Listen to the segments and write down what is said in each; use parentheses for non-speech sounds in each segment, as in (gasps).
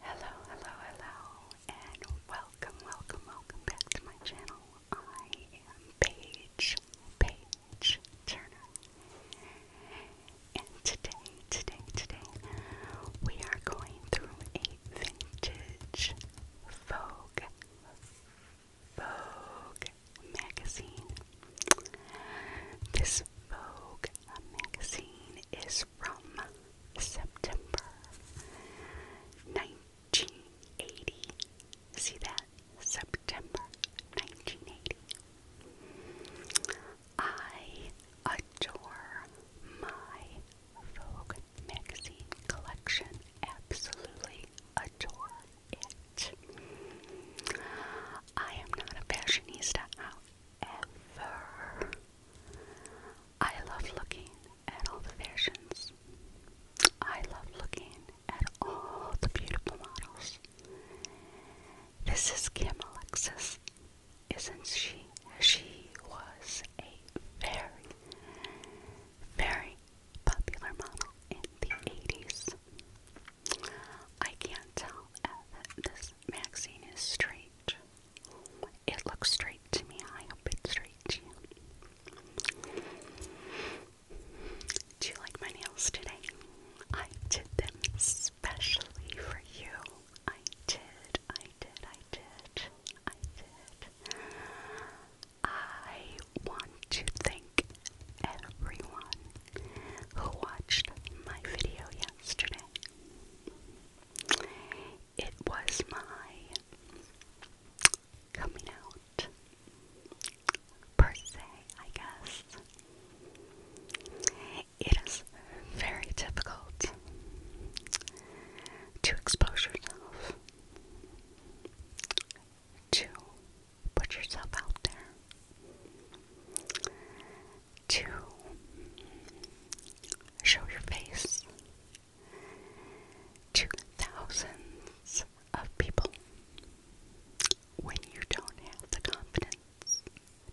Hello, hello, hello, and welcome, welcome, welcome back to my channel. I am Paige, Paige Turner. And today, today, today, we are going through a vintage Vogue Vogue magazine. This Vogue magazine is from September 1980. See that? September 1980. I adore my Vogue magazine collection. Absolutely adore it. I am not a fashionista, however, I love looking at all the versions. I love looking at all the beautiful models. This is Kim Alexis. Isn't she? She was a fairy very popular model in the 80s. I can't tell if this magazine is straight. It looks straight to me. I hope it's straight Do you like my nails today? I did them specially for you. I did, I did, I did, I did. I want to thank everyone who watched my video yesterday. It was my coming out, per I guess. It is very difficult to expose yourself to put yourself out there, to show your face to thousands of people when you don't have the confidence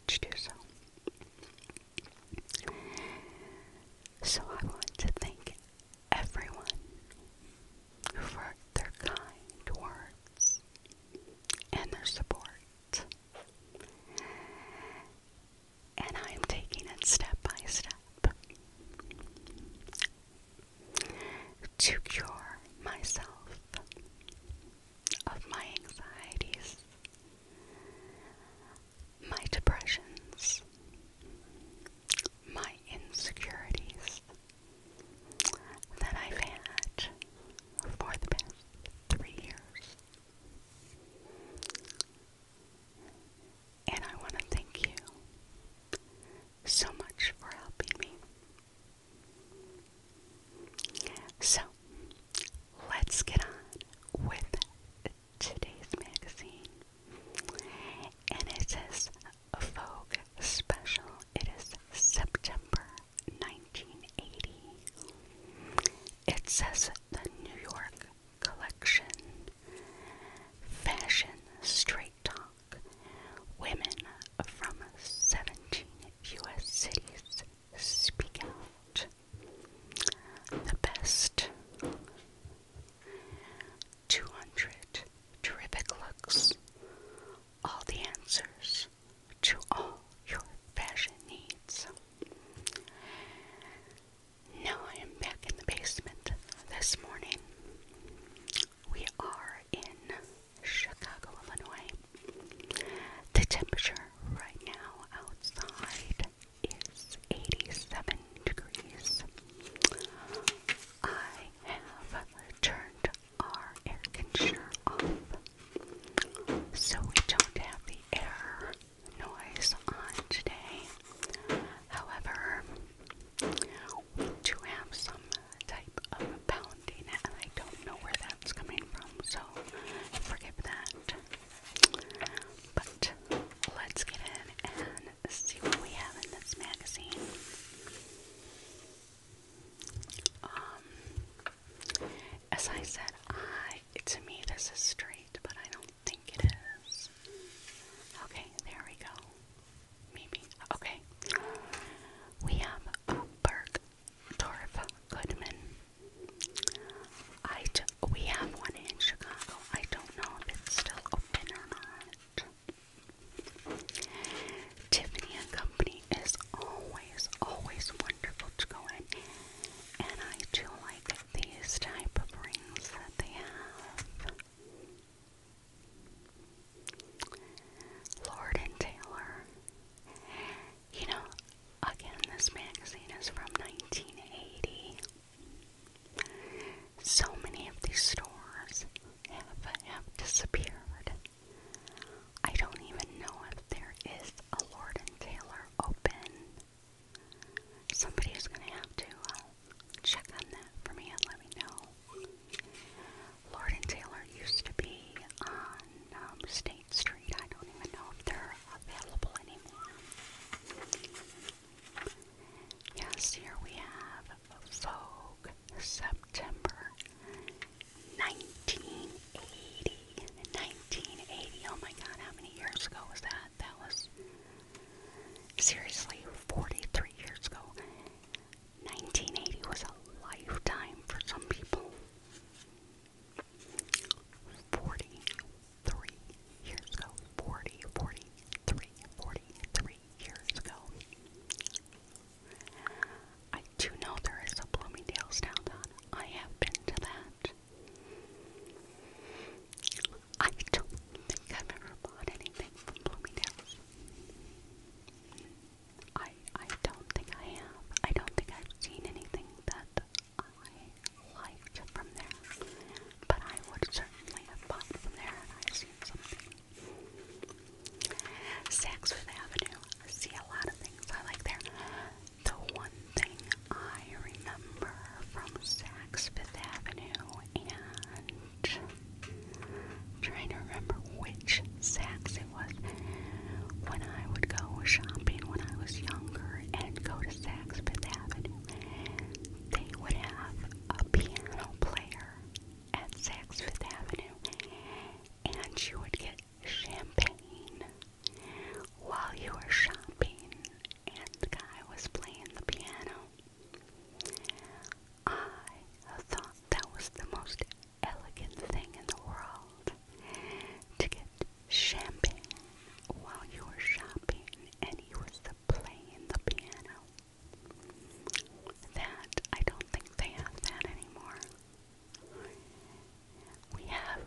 to do so. So, I want to thank everyone for their kind words and their support. And I am taking it step by step to cure myself of my anxieties, my depressions, my insecurities, that I've had for the past three years. And I want to thank you so much for helping me. So, let's get on with today's magazine. And it Vogue special. It is September 1980. It says the New York collection. Fashion Straight Talk. Women from 17 U.S. cities speak out. The best. 200 terrific looks, all the answers to all your fashion needs. Now I am back in the basement this morning. We are in Chicago, Illinois. The temperature right now outside is 87 degrees. I have turned our air conditioner off so we don't have the air noise on today. However, we do have some type of pounding and I don't know where that's coming from, so forgive that. But let's get in and see what we have in this magazine. Um, as I said, I to me this is straight, but I don't think it is. Okay, there we go. Maybe okay. We have Berg Dorf Goodman. I do, we have one in Chicago. I don't know if it's still open or not. Tiffany and Company is always, always wonderful to go in, and I do like these type of rings that they have. Lord and Taylor. You know, again, this magazine is from 1980. So many of these stores have, disappeared. I don't even know if there is a Lord and Taylor open. Somebody is going to have to uh, check on that for me and let me know. Lord and Taylor used to be on um, State Street. I don't even know if they're available anymore. Yes, here we have Vogue September 1980. 1980. Oh my god, how many years ago was that? That was seriously 43 years ago. 1980 was a lifetime for some people. 43 years ago. 40, years ago. I do know there is a Bloomingdale's downtown. I have been to that. I don't think I've ever bought anything from Bloomingdale's. I I don't think I have. I don't think I've seen anything that I liked from there. But I would certainly have bought from there and i seen something Saks Fifth Avenue. I see a lot of things I like there. The one thing I remember from Saks Fifth Avenue and trying to remember which Saks it was when I would go shopping when I was younger and go to Saks Fifth Avenue. They would have a piano player at Saks Avenue, and you would get champagne while you were shopping, and the guy was playing the piano. I thought that was the most elegant thing in the world to get champagne while you were shopping, and he was playing the piano. That I don't think they have that anymore. We have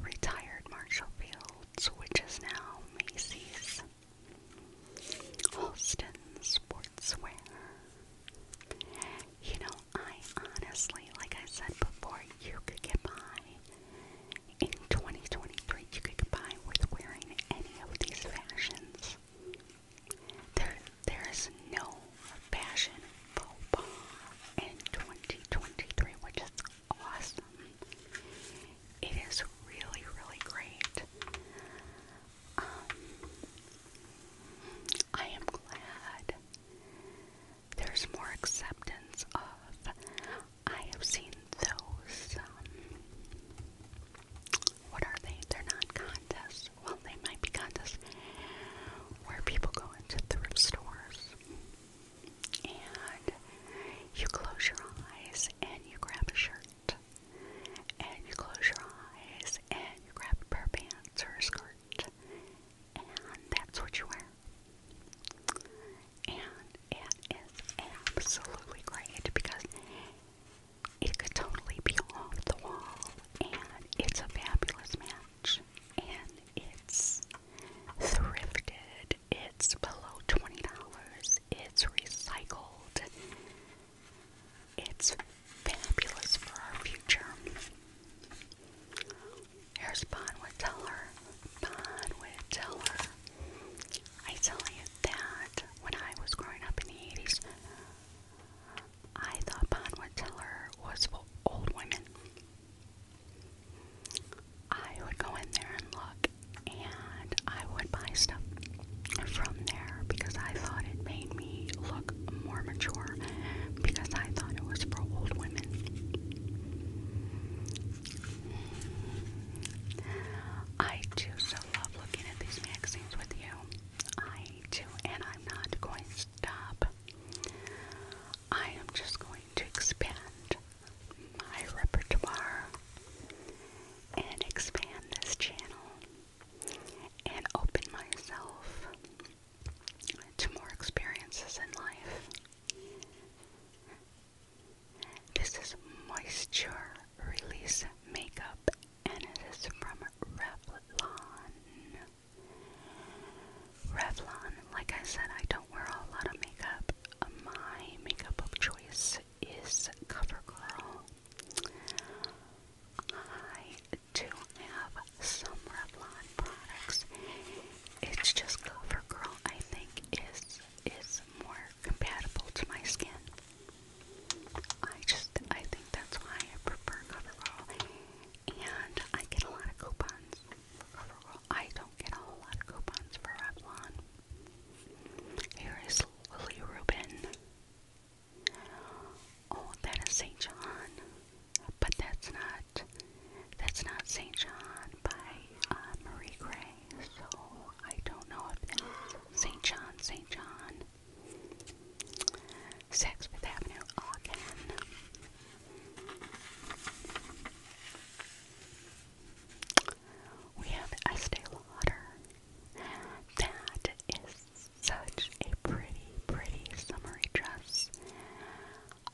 retired Marshall Fields, which is now Macy's, Halston Sportswear. You know, I honestly, like I said before, you could get by in 2023. You could get by with wearing any of these fashions. There, there is no fashion faux pas in 2023, which is awesome. It is really, really great. Um, I am glad there's more acceptance of. I have seen those um, what are they? They're not contests. Well, they might be contests where people go into thrift stores and you close your eyes and you grab a shirt, and you close your eyes and you grab a pair of pants or a skirt, and that's what you wear. And it is absolutely great because it could totally be off the wall, and it's a fabulous match. And it's thrifted, it's below $20, it's recycled, it's fabulous for our future. Here's Bonwood Teller. Bonwood Teller. I tell you that when I was growing up in the 80s, I thought Bonwood Cellar was for old women. I would go in there and look, and I would buy stuff from there because I thought it made me look more mature because I thought it was for old women. I do so love looking at these magazines with you. I do, and I'm not going to stop. I am just going to expand my repertoire and expand this channel and open myself to more experiences in life. This is moisture release makeup and it is from Revlon. Revlon, like I said, I don't wear a lot of makeup. My makeup of choice is CoverGirl. I do have some Revlon products. It's just CoverGirl I think is is more compatible to my skin. I just, I think that's why I prefer CoverGirl, and I get a lot of coupons for CoverGirl. I don't get a whole lot of coupons for Revlon. Here is Lily Rubin. Oh, that is St. John, but that's not, that's not St. John by uh, Marie Gray, so I don't know if that's St. John, St. John. Saks Fifth Avenue, Ogden. We have Estee Lauder. That is such a pretty, pretty summery dress.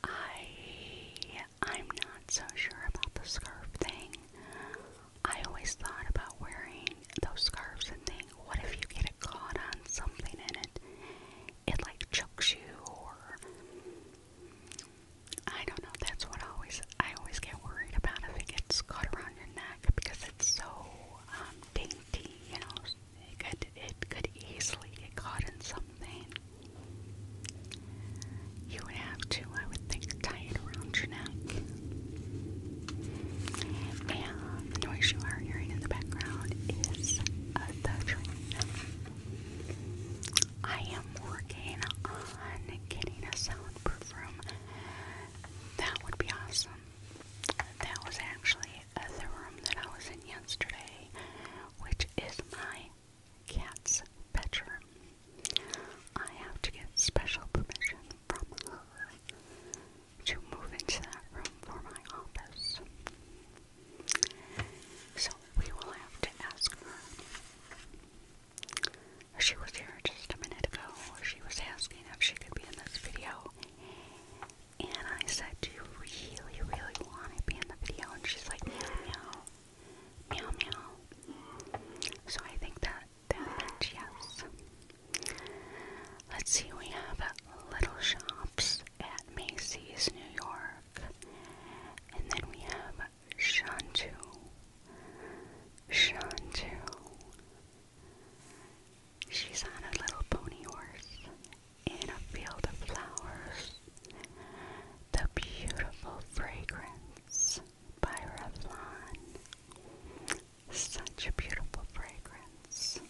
I I'm not so sure about the scarf thing. I always thought about wearing those scarves and think, what if you get it caught on something and it it like chokes you or I don't know, that's what I always I always get worried about if it gets caught around your neck because it's so um, dainty, you know, it could it could easily get caught in something. You would have to, I would think, tie it around your neck the noise you are hearing in the background is uh, the train. I am working on getting a soundproof room. That would be awesome. That was actually uh, the room that I was in yesterday, which is my cat's bedroom. I have to get special permission from her to move into that room for my office. So we will have to ask her. She was here just a minute ago. She was asking if she could be in this video. And I said, Do you really, really want to be in the video? And she's like, Meow, meow, meow, meow. So I think that yes. Let's see, we have Little Shops at Macy's, New York. And then we have Shantou. Shantou. She's on a little pony horse in a field of flowers. The beautiful fragrance by Revlon. Such a beautiful fragrance.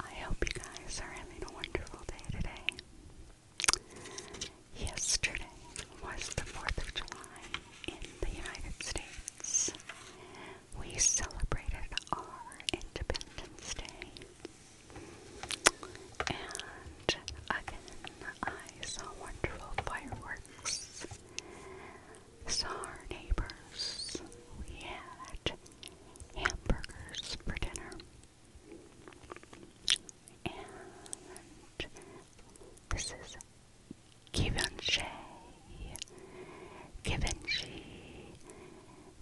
I hope you guys are having a wonderful day today. Yesterday was the 4th of July in the United States. We celebrated our Independence Day. And again, I I saw wonderful fireworks. Saw our neighbors. We had hamburgers for dinner. And this is Givenchy. Givenchy.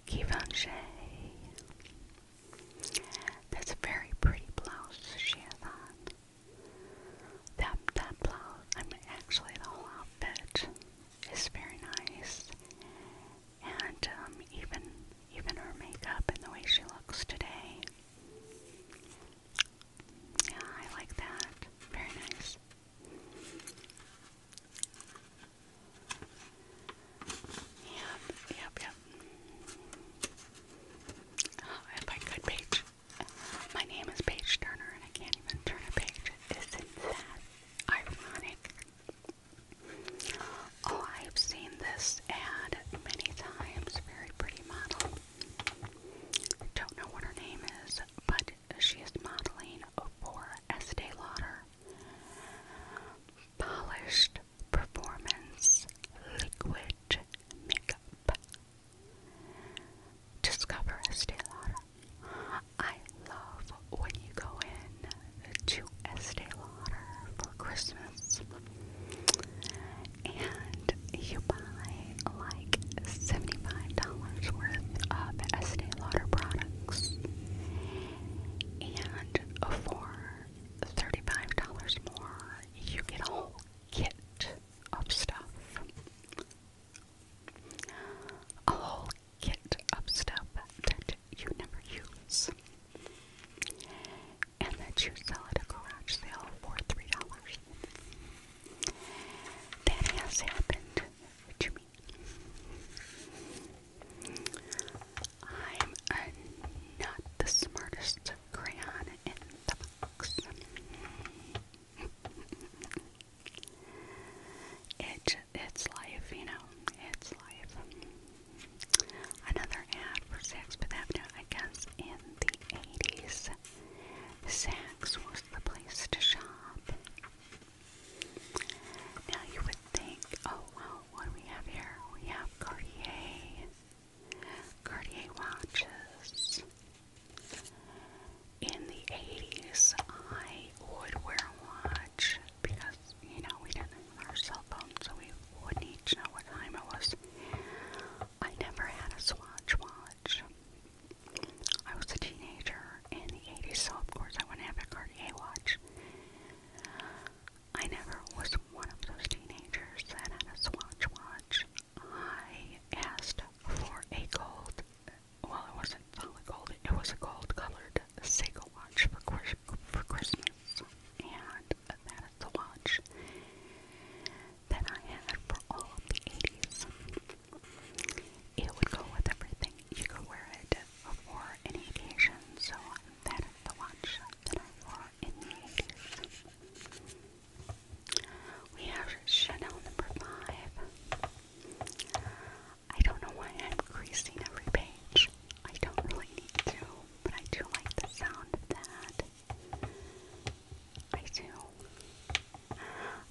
Givenchy. That's a very pretty blouse she has on. That, that blouse, I mean, actually the whole outfit is very nice. And um, even, even her makeup and the way she looks today. Yeah, I like that. Very nice. Yep, yep, yep. Oh, I like that my name is Paige Turner, and I can't even turn a page. Isn't that ironic? Oh, I've seen this ad many times. Very pretty model. Don't know what her name is, but she is modeling for Estee Lauder. Polished performance liquid makeup Discover Estee Lauder. I love when you go in to Estee Lauder for Christmas and you buy like $75 worth of Estee Lauder products and for $35 more you get a whole kit of stuff. A whole kit of stuff that you never use. And that you sell at a garage sale for $3. That has happened to me. I'm not the smartest crayon in the box. It, it's life, you know. It's life. Another ad for Saks Fifth Avenue, I guess, in the 80s. Saks was the place to shop. Now you would think, oh, well, what do we have here? We Cartier. Cartier watches. In the 80s, I would wear a watch because, you know, we didn't have our cell phones, so we would need know what time it was. I never had a Swatch watch. I was a teenager in the 80s, so of course I wouldn't have a Cartier watch. I never was one of those teenagers that had a Swatch watch. I asked for a gold, well, it wasn't solid gold, it was a gold colored Seiko watch for, Christmas. And that is the watch that I had for all of the 80s. It would go with everything. You could wear it for any occasion, so that is the watch that I in the 80s. We have Chanel number five. I don't know why I'm creasing every page. I don't really need to, but I do like the sound of that. I do.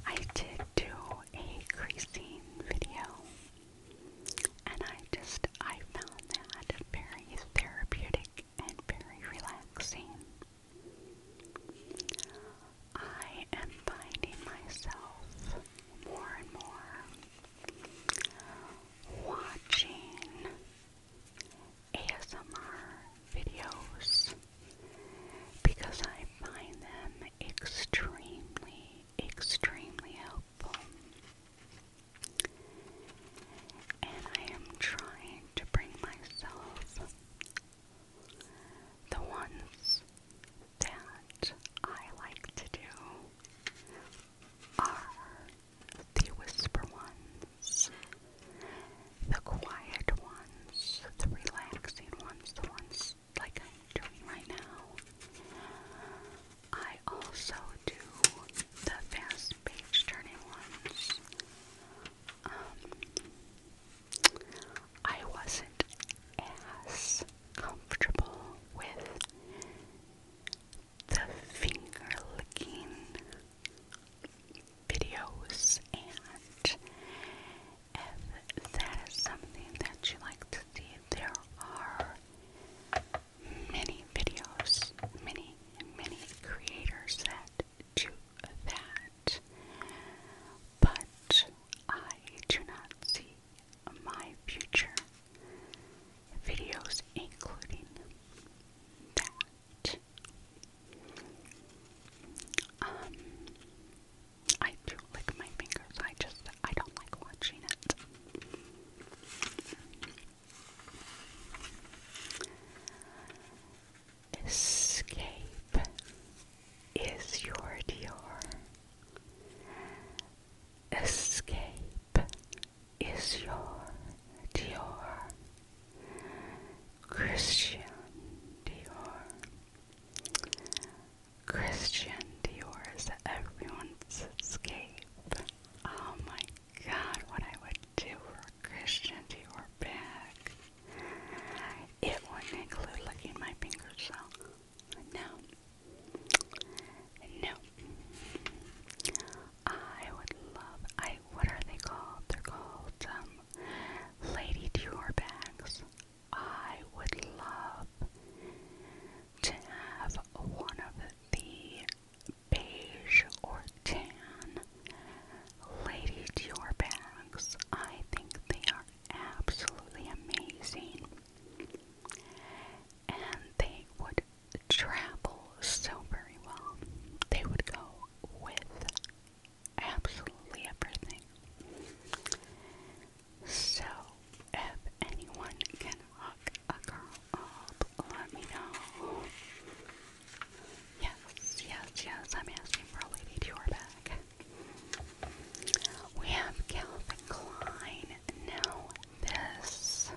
I did do a creasing video, and I just I found that very therapeutic and very relaxing. I am finding myself more and more watching ASMR videos because I find them extremely, extremely helpful. And I am trying to bring myself the ones that I like to do are the whisper ones, the quiet ones, the relaxing ones, the ones like I'm doing right now. I also do the fast page turning ones. Um, I wasn't as comfortable with the finger licking videos, and if that is something that you like to see, there are many videos, many, many creators that to that. But I do not see my future videos including that. Um, I do lick my fingers. I just, I don't like watching it. Escape is your Dior. Escape is your Dior. Christian Dior. Christian Dior is everyone's escape. Oh my god, what I would do Christian to your back. It wouldn't include licking my fingers, No. No. I would love, I, what are they called? They're called, um, lady tour bags. I would love to have one of the beige or Chan. Ladies, your bags. I think they are absolutely amazing. And they would travel so very well. They would go with absolutely everything. So, if anyone can hook a girl up, let me know. Yes, yes, yes, I'm asking for a lady to your back. We have Calvin Klein. Now, this.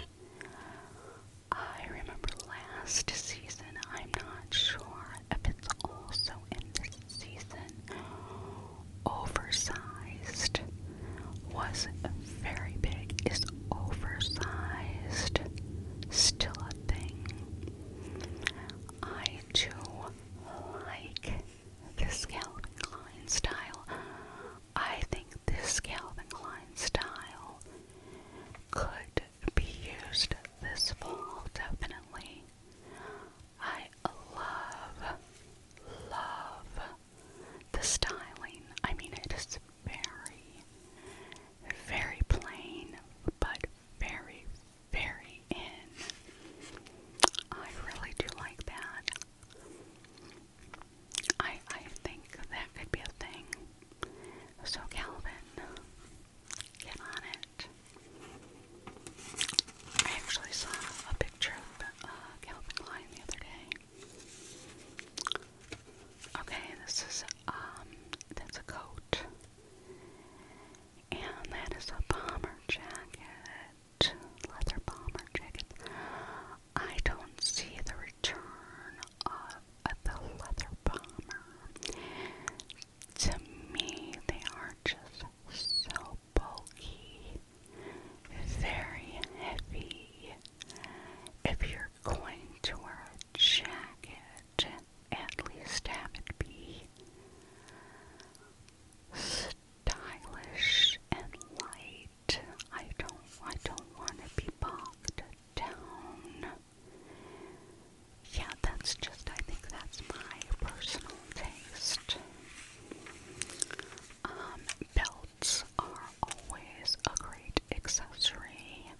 I remember last season, I'm not sure if it's also in this season. Oversized was very big. Is oversized still a thing? I too like the Calvin Klein style. I think this Calvin Klein style could be used this fall, definitely. I love, love the styling. I mean, it is very, very plain, but very, very in. I really do like that. I I think that could be a thing. So Calvin, get on it. I actually saw a picture of uh, Calvin the other day. Okay, this is um, that's a coat. And that is a bomber jacket, leather bomber jacket. I don't see the return of, the leather bomber. To me, they are just so bulky, very heavy. If you're going to wear a jacket, at least have it be stylish and light. I don't I don't want to be bogged down. Yeah, that's just I think that's my personal taste. Um, belts are always a great accessory.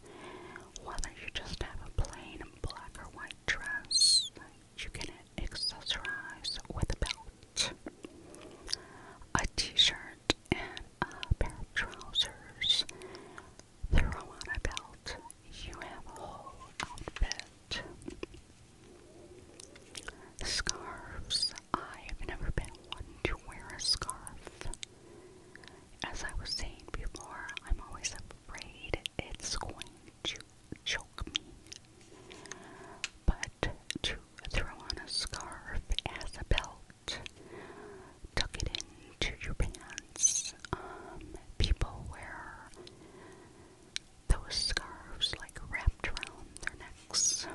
Whether you just have a plain black or white dress. You can accessorize with a belt, a t-shirt, and a pair of trousers. Throw on a belt. You have a whole outfit. Scarves. I've never been one to wear a scarf. As I was saying before, I'm always afraid it's going to choke me. But to throw on a scarf as a belt, tuck it into your pants. Um, people wear those scarves like wrapped around their necks,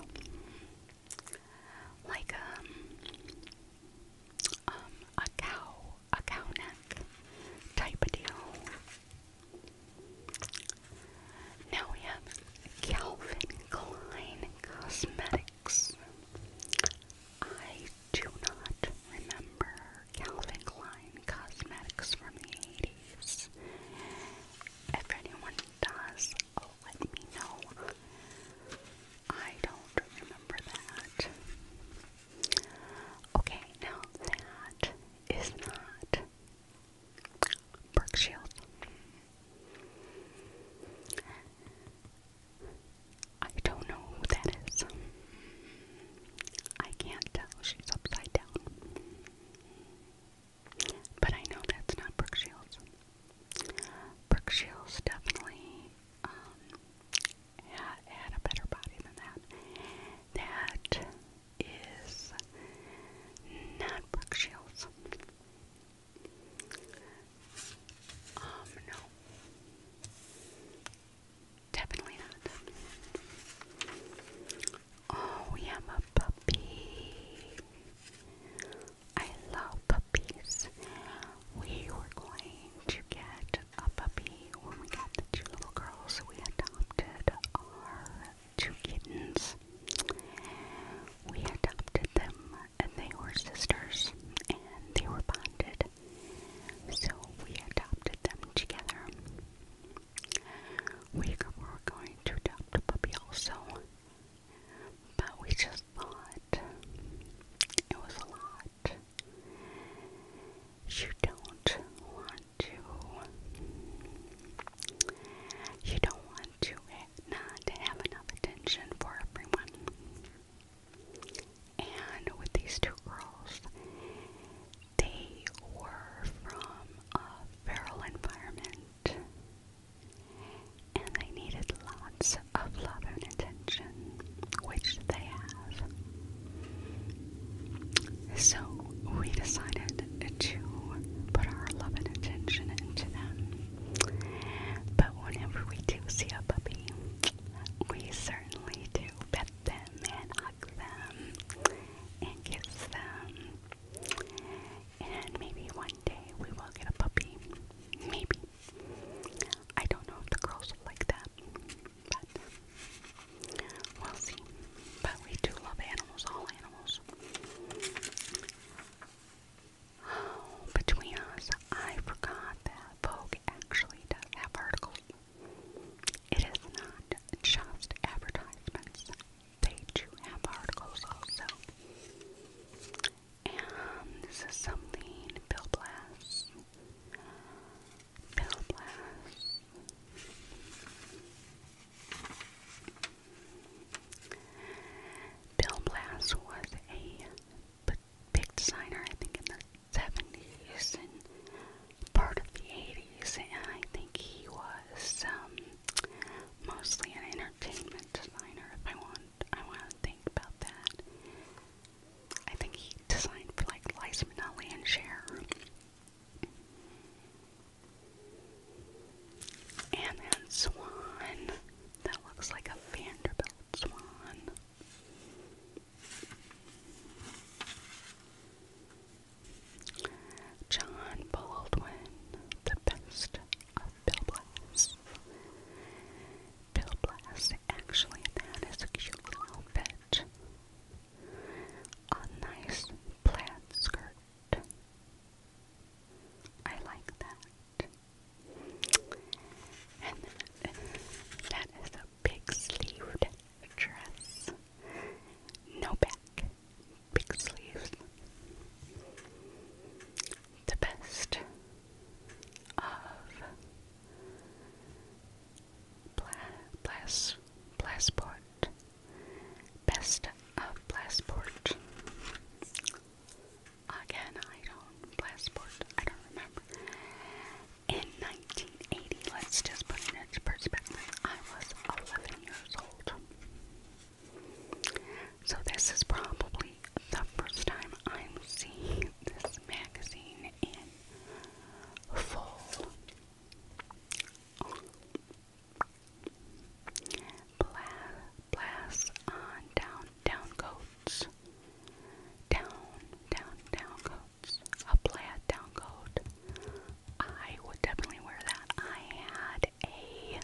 like um, um, a cow a cow neck type of deal. Now we have Calvin Klein Cosmetics. I do not remember Calvin Klein Cosmetics from the 80s. If anyone does, let me know. I don't remember that. Okay, now that is not Burke Shield. I don't know who that is. I can't tell. She's upside down. But I know that's not Brooke Shields. Brooke Shields definitely um, had, a better body than that. That is not Brooke Shields. Um, no. Definitely not. Oh, we have a puppy. I love puppies. We were going to get a puppy when we got the two little girls. We adopted our two kittens. We adopted them and they were sisters and they were bonded. So we adopted them together. We were going to adopt a puppy also, but we just thought it was a lot you don't want to. You don't want to not have enough attention for everyone. And with these two girls, they were from a feral environment. And they needed lots of love and attention which they have. So we decided to put our love and attention into them. But whenever we do see a puppy, we certainly do pet them and hug them and kiss them. And maybe one day we will get a puppy. Maybe. I don't know if the girls will like that. But we'll see. But we do love animals, all animals. (gasps) between us, I forgot that Vogue actually does have articles. It is not just advertisements. They do have articles also. And this is something Bill Blast Bell Blast. Bill Blast was a big designer, I think, in the 70s and part of the 80s, and I think he was um, mostly an entertainment designer. If I want, I want to think about that. I think he designed for like Liza Minnelli and Cher. And that swan. That looks like a Vanderbilt swan. John Baldwin, the best of Bill Blass. actually, that is a cute little outfit. A nice plaid skirt. I like that. And that is a big sleeved dress. No back, big sleeves. The best of Blas Blasport. Best of Blasport. Again, I don't Blasport. I don't remember. In 1980, let's just put it into perspective. I was 11 years old. So this is probably the first time I'm seeing this magazine full, blast on down, down coats, down, down, down coats, a plaid down coat. I would definitely wear that. I had a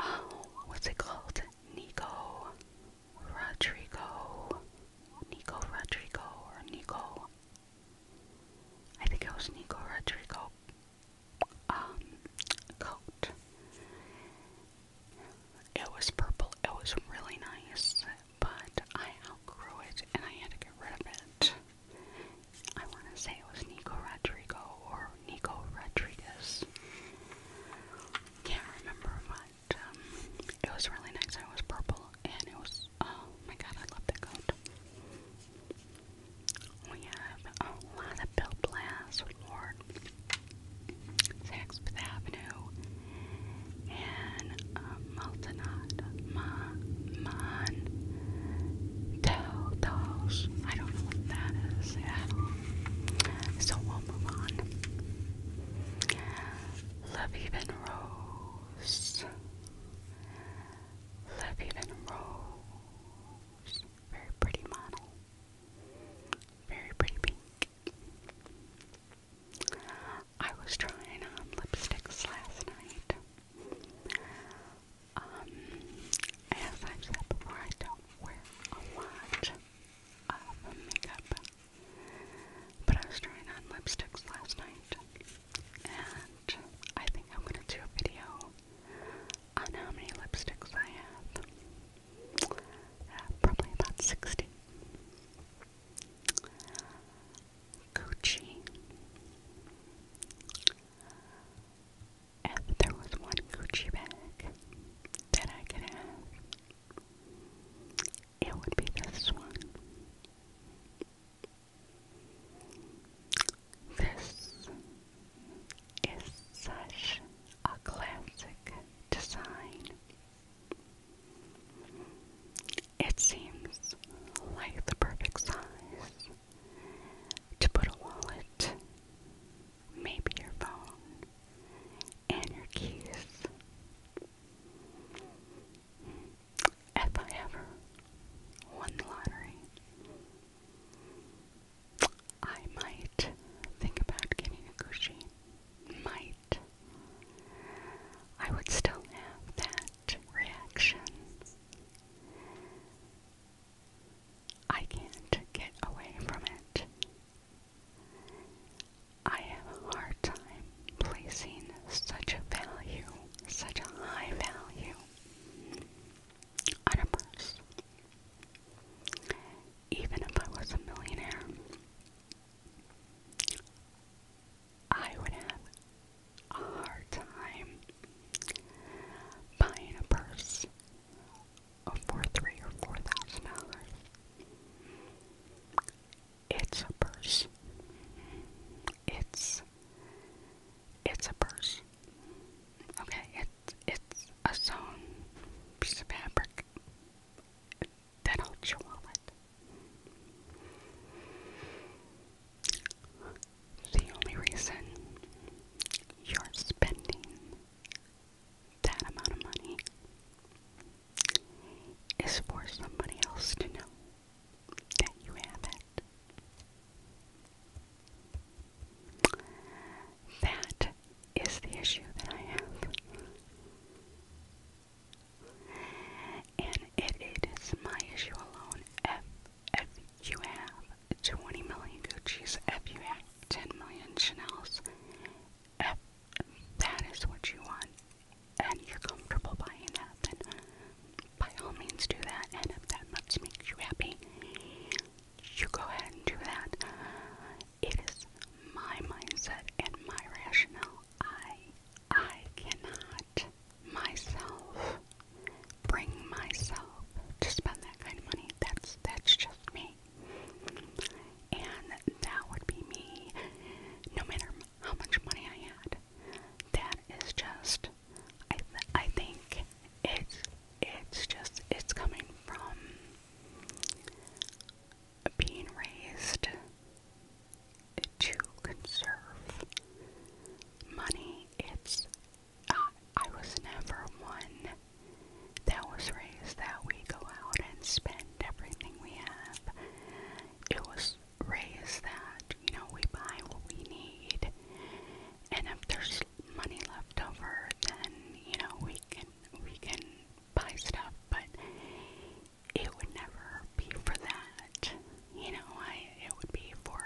oh, what's it called? Nico Rodrigo, Nico Rodrigo, or Nico. I think it was Nico Rodrigo. Um, coat. It was purple. It was really nice, but I outgrew it and I had to get rid of it. I want to say it was Nico Rodrigo or Nico Rodriguez. Can't remember my um, it was really nice. It was purple, and it was oh my god, I love that coat. We have a lot of Bill Blass Ward, Avenue, and uh, um, Multinod, Ma, Mon, Tell I don't know what that is at all. So we'll move on. Love Even Rose. Even Rose. Very pretty model. Very pretty pink. I was trying on lipsticks last night. Um, as I've said before, I don't wear a lot of makeup. But I was trying on lipsticks last night, and I think I'm gonna do a video on how many lipsticks I have. Uh, probably about 60. Gucci. If there was one Gucci bag that I could it would be this one. This is such a classic design. It seems like the perfect size to put a wallet, maybe your phone, and your keys. If I ever won the lottery, I might think about getting a Gucci. Might. I would still have that reaction. I can't get away from it. I have a hard time placing such a value, such a high value on a purse. Even if I was a millionaire, I would have a hard time buying a purse for three or four thousand dollars. It's a purse. It's it's a purse. Okay, it's it's a sewn piece of fabric that holds your wallet. The only reason you're spending that amount of money is for somebody else to know that you have it. That is the issue that I have. And it, it is my issue alone. If, if you have 20 million Gucci's, if you have 10 million Chanel's, if that is what you want and you're comfortable buying that, then by all means do that. And if that much makes you happy, you go ahead and do that. It is my mindset and my rationale. I I cannot myself bring myself to spend that kind of money. That's that's just me. And that would be me no matter how much money I had. That is just, I, I think it's, it's just, it's coming from being raised to conserve money. It's, uh, I was never one that was raised that we go out and spend everything we have it was raised that, you know, we buy what we need, and if there's money left over, then, you know, we can, we can buy stuff, but it would never be for that, you know, I, it would be for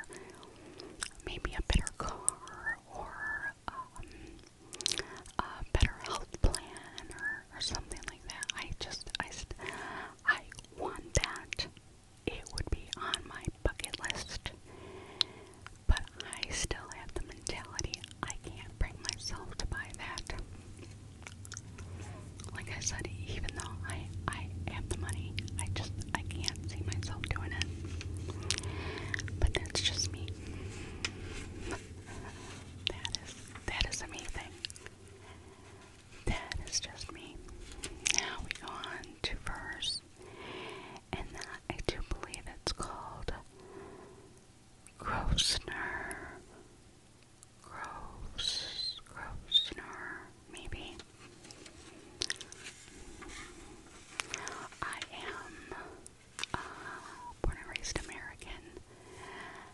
maybe a better car, or, um, a better health plan, or, or something that. I just, I, I want that. It would be on my bucket list. But I still have the mentality I can't bring myself to buy that. Like I said, even though I, I have the money, I just, I can't see myself doing it. But that's just me. That is, that is amazing. That is just me. Now we go on to verse, and that I do believe it's called Grosner. Gross, Grosner, maybe. I am uh, born and raised American.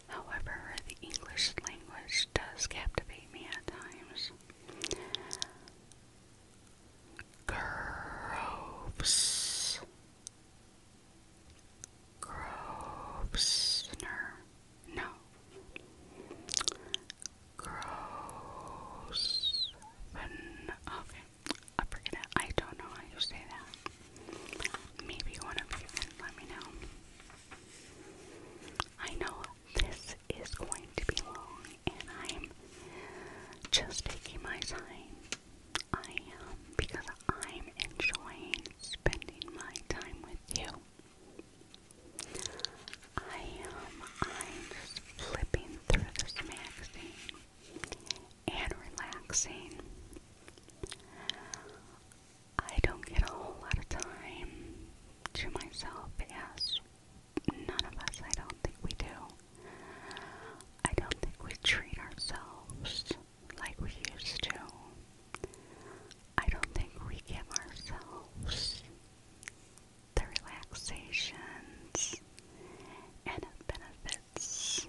However, the English language does captivate me at times. Groves. Grosvenor. No. Grosven. Okay. I forget it. I don't know how you say that. Maybe one of you can let me know. I know this is going to be long, and I'm just taking my time. I am because I'm enjoying spending my time with you. I am. I'm just flipping through this magazine and relaxing. I don't get a whole lot of time to myself, yes. None of us, I don't think we do. I don't think we treat ourselves like we used to. I don't think we give ourselves the relaxations and the benefits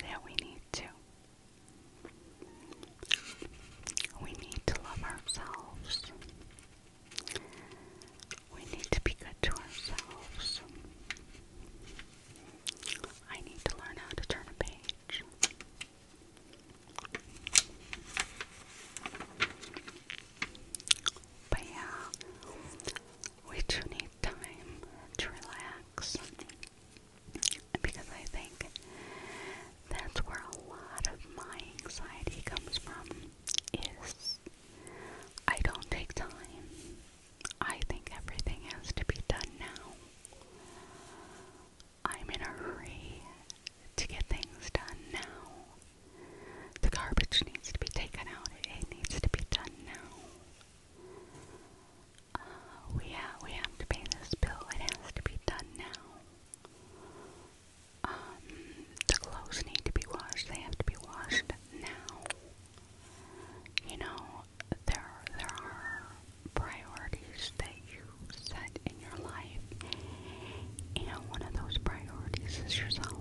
that we need to. We need to love ourselves. We need to be good to ourselves. I need to learn how to turn a page. But yeah, we do need time to relax because I think that's where a lot of my anxiety comes from is I don't take time. I think everything has to be done now. I'm in a hurry to get things done now. The garbage needs to be taken out. It needs to be done now uh, we, ha we have to pay this bill. It has to be done now. Um, the clothes need to be washed. They have to be washed now. You know, there, there are priorities that you set in your life, and one of those priorities is yourself.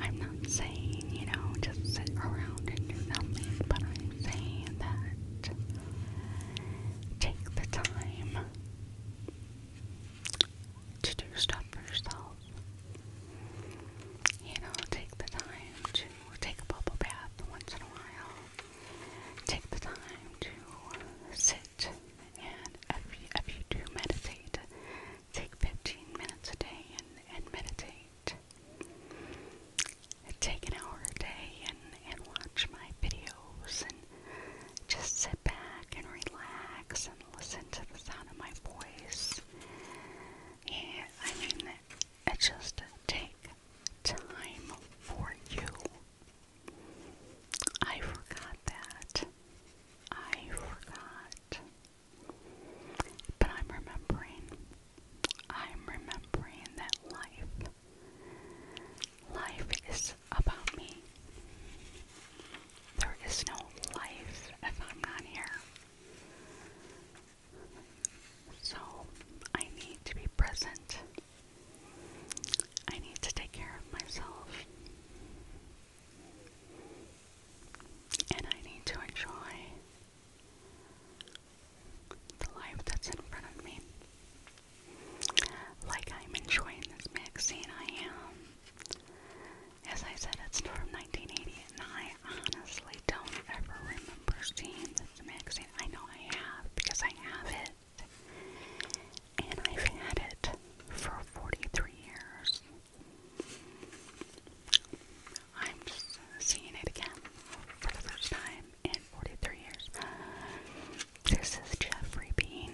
I'm not saying, you know, just sit around and do nothing, but I saying that take the time to do stuff for yourself. You know, take the time to take a bubble bath once in a while. Take the time to sit and if you, if you do meditate, take 15 minutes a day and, and meditate take an hour a day and, and watch my videos and just sit back and relax and listen to the sound of my voice. Yeah, I mean, it just take time for you. I forgot that. I forgot. But I'm remembering. I'm remembering that life Life is about me. There is no life if I'm not here. So I need to be present. I need to take care of myself. And I need to enjoy the life that's in front of me. Like I'm enjoying this magazine, I am. As I said, it's from 1980, and I honestly don't ever remember seeing this magazine. I know I have because I have it. And I've had it for 43 years. I'm just seeing it again for the first time in 43 years. This is Jeffrey Bean.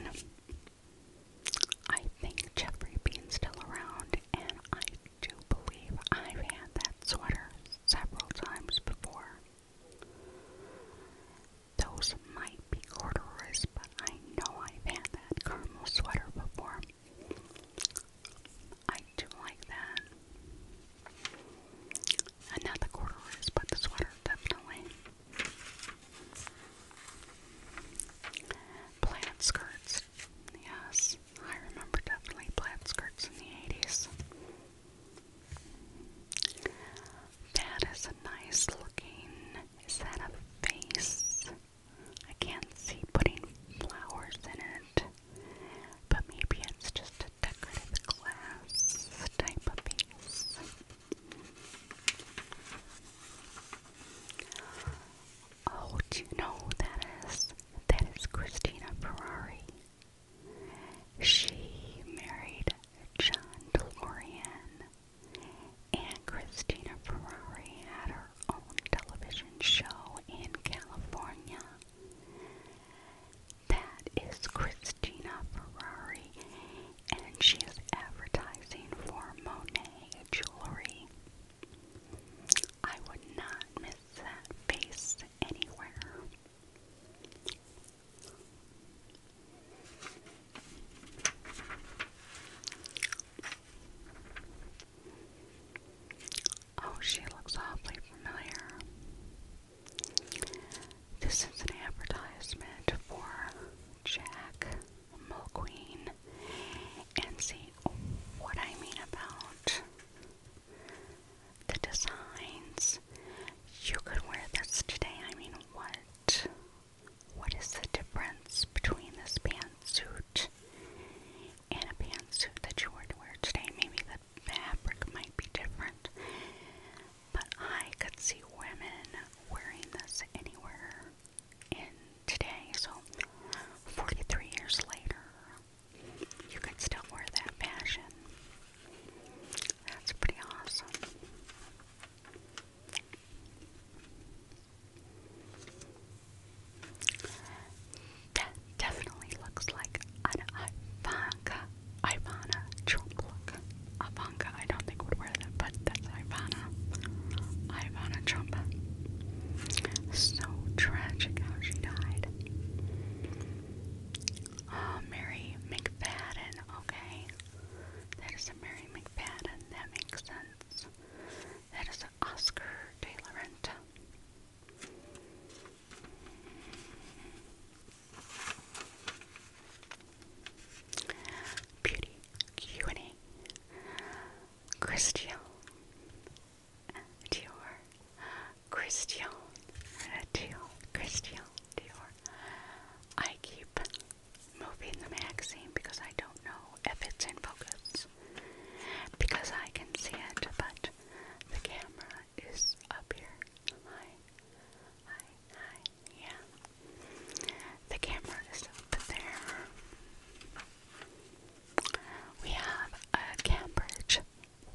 I think Jeffrey Bean's still around, and I do believe I've had that sweater several times before. Those might be corduroys, but I know I've had that caramel sweater before. I do like that. And not the corduroys, but the sweater, definitely. Plaid skirts. Yes, I remember definitely plaid skirts in the 80s. That is a nice looking. Is that face? I can't see putting flowers in it but maybe it's just a decorative glass type of piece. Oh, do you know that is? That is Christina Ferrari. She married John DeLorean, and Christina Ferrari had her own television show in California. That is Christina Ferrari, and she is advertising for Monet jewelry. I would not miss that face anywhere. Oh, she looks awfully familiar. This is an advertisement for Jack Mulqueen and see what I mean about the designs. You could wear this today. I mean, what? What is the difference between this pantsuit and a pantsuit that you were to wear today? Maybe the fabric might be different, but I could see women wearing this anywhere in today. So 43 years later, you could still wear that fashion. That's pretty awesome. That definitely looks like an Ivanka Ivana Trump look. Ivanka, I don't think would wear that, but that's Ivana. Ivana Trump. So tragic how she died. Uh, Mary McFadden, okay. That is a Mary McFadden, that makes sense. That is an Oscar de la Renta. Beauty Q&A Christian Dior Christian Dior Christian Dior I keep moving the magazine because I don't know if it's in focus because I can see it but the camera is up here. Hi. Hi. Hi. Yeah. The camera is up there. We have a Cambridge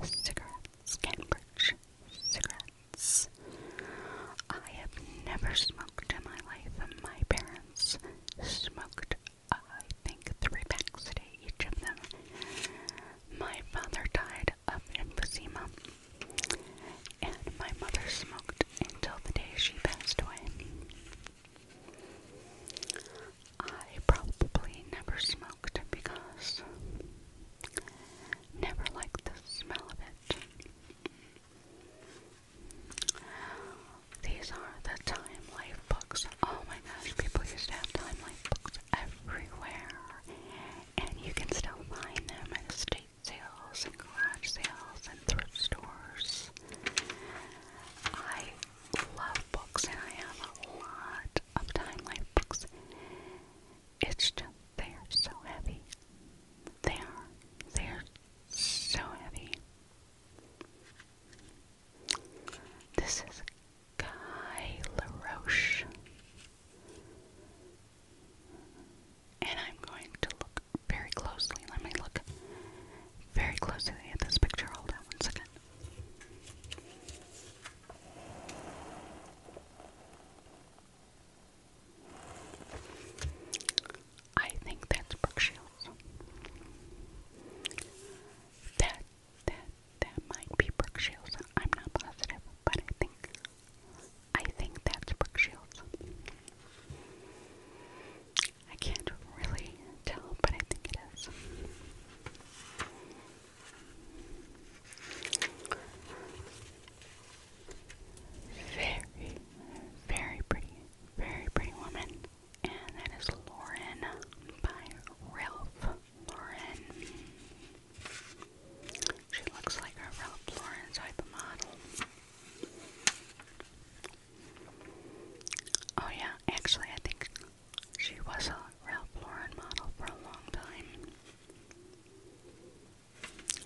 cigarettes. Cambridge cigarettes. I have never smoked in my life. My parents smoked, I think, three packs a day, each of them. My father died died of emphysema, and my mother smoked until the day she passed away. I probably never smoked because never liked the smell of it. These are the Time Life books. Oh my gosh, people used to have Time Life books everywhere and you can still find them at estate sales and garage sales and thrift stores. I love books and I have a lot of Time Life books. It's just, they are so heavy. They are. They are so heavy. This is Guy LaRoche. And I'm going to look very closely. Let me look very closely at this picture. Hold on one second. I think that's Brooke Shields. That that that might be Brooke Shields. I'm not positive, but I think I think that's Brooke Shields. I can't really tell, but I think it is. Very, very pretty, very pretty woman. And that is Lauren by Ralph Lauren. She looks like a real Lauren type of model. Oh yeah, actually I think she was a Ralph Lauren model for a long time.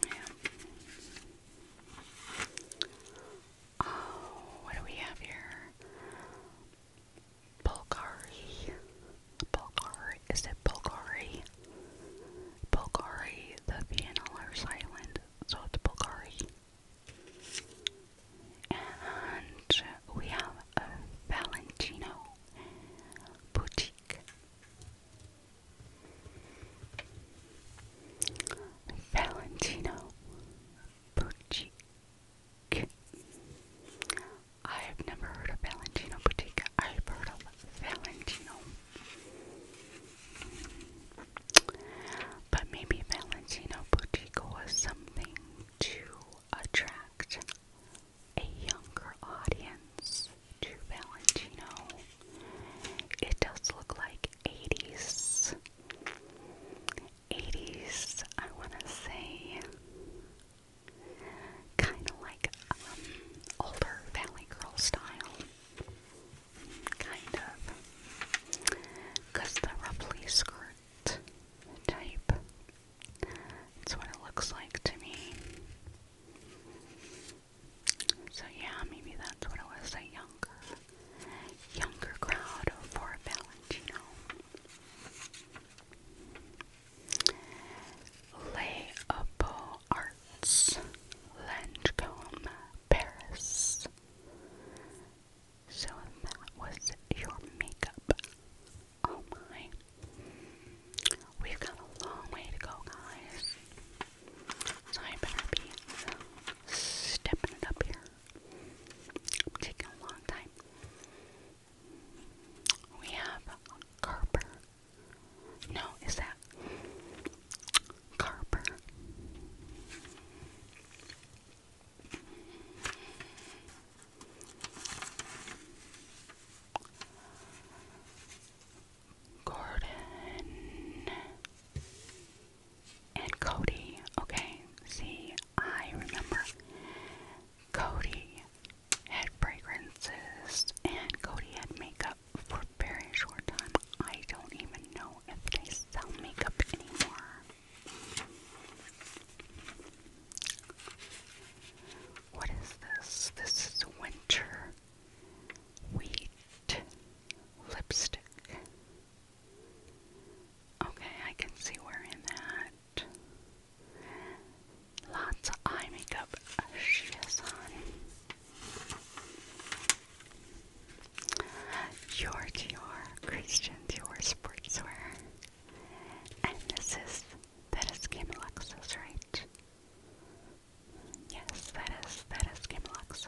Yeah. Oh, what do we have here? Bulgari. Bulgari, is it Bulgari? Bulgari, the Viennalers Island, so it's Bulgari. And we have a Valentino boutique. Valentino boutique. I've never heard of Valentino Bottega. I've heard of Valentino. But maybe Valentino Bottega was something to attract a younger audience to Valentino. It does look like 80s. 80s, I want to say. Kind of like um, older Valley Girl style. Kind of. the ruffly skirt type. That's what it looks like to me. So yeah, maybe that's what it was, a younger, younger crowd for Valentino. Leopold Arts, Langecombe, Paris. So that was your makeup. Oh my. We've got a long way to go, guys. So I better be stepping it up here. I'm taking a long time. We have Carper no, is that Carper? Gordon and Cody. Okay, see, I remember Cody had fragrances, and Cody had makeup for very short time. I don't even know if they sell makeup anymore. What is this? This is winter wheat lipstick. Okay, I can see wearing that. Lots of eye makeup she has on. Your Dior Christian Dior Sportswear. And this is, that is Kim Luxus, right? Yes, that is, that is Kim Luxus.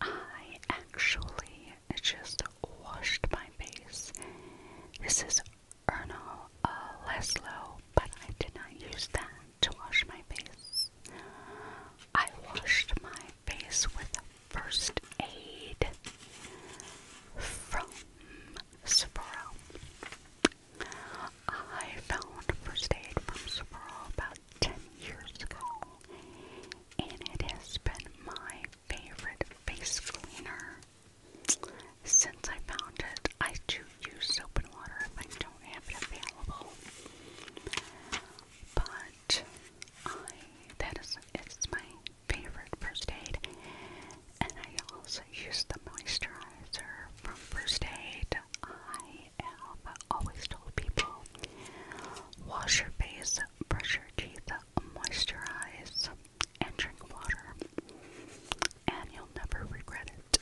I actually it just washed my face. This is Ernal uh, but I did not use that to wash my face. I washed my face with First Aid from Sephora. I found First Aid from Sephora about 10 years ago, and it has been my favorite face cleaner. Since I found it, I do use soap and water if I don't have it available. But that is it's my favorite first aid. And I also use the moisturizer from first aid. I have always told people wash your face brush your teeth, moisturize, and drink water, and you'll never regret it.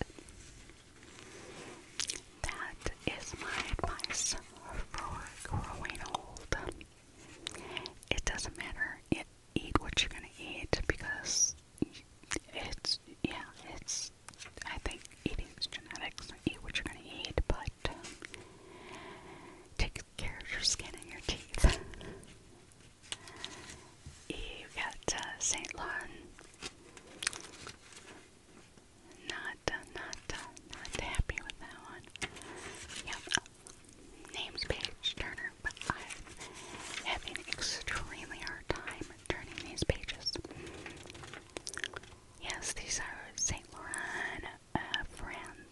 That is my advice for growing old. It doesn't matter. It, eat what you're gonna eat because it's yeah it's I think eating's genetics. Eat what you're gonna eat, but takes care of your skin and your teeth. you got uh, Saint Laurent. Not, uh, not, uh, not happy with that one. Yep, name's page turner, but I'm having extremely hard time turning these pages. Yes, these are Saint Laurent uh, friends. Um,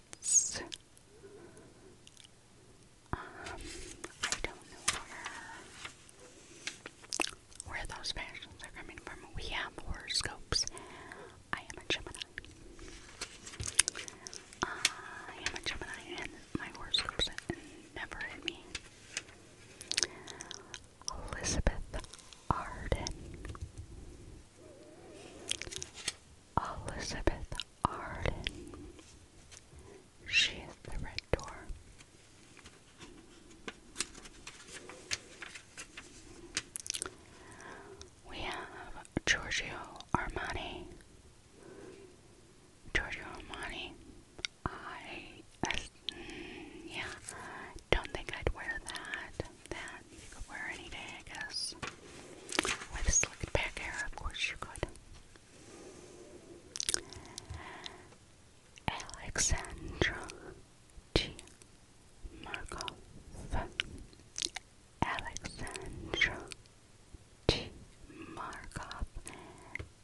I don't know where, where those fashions are coming from. We have horoscopes. I am a Gemini. I am a Gemini, and my horoscopes never hit me. Elizabeth Arden. Elizabeth Arden. She is the red door. We have Giorgio Armani. Giorgio Armani. I, mm, yeah, don't think I'd wear that that you could wear any day, I guess. With slicked back hair, of course you could. Alexandra G. Markov. Alexandra G. Markov.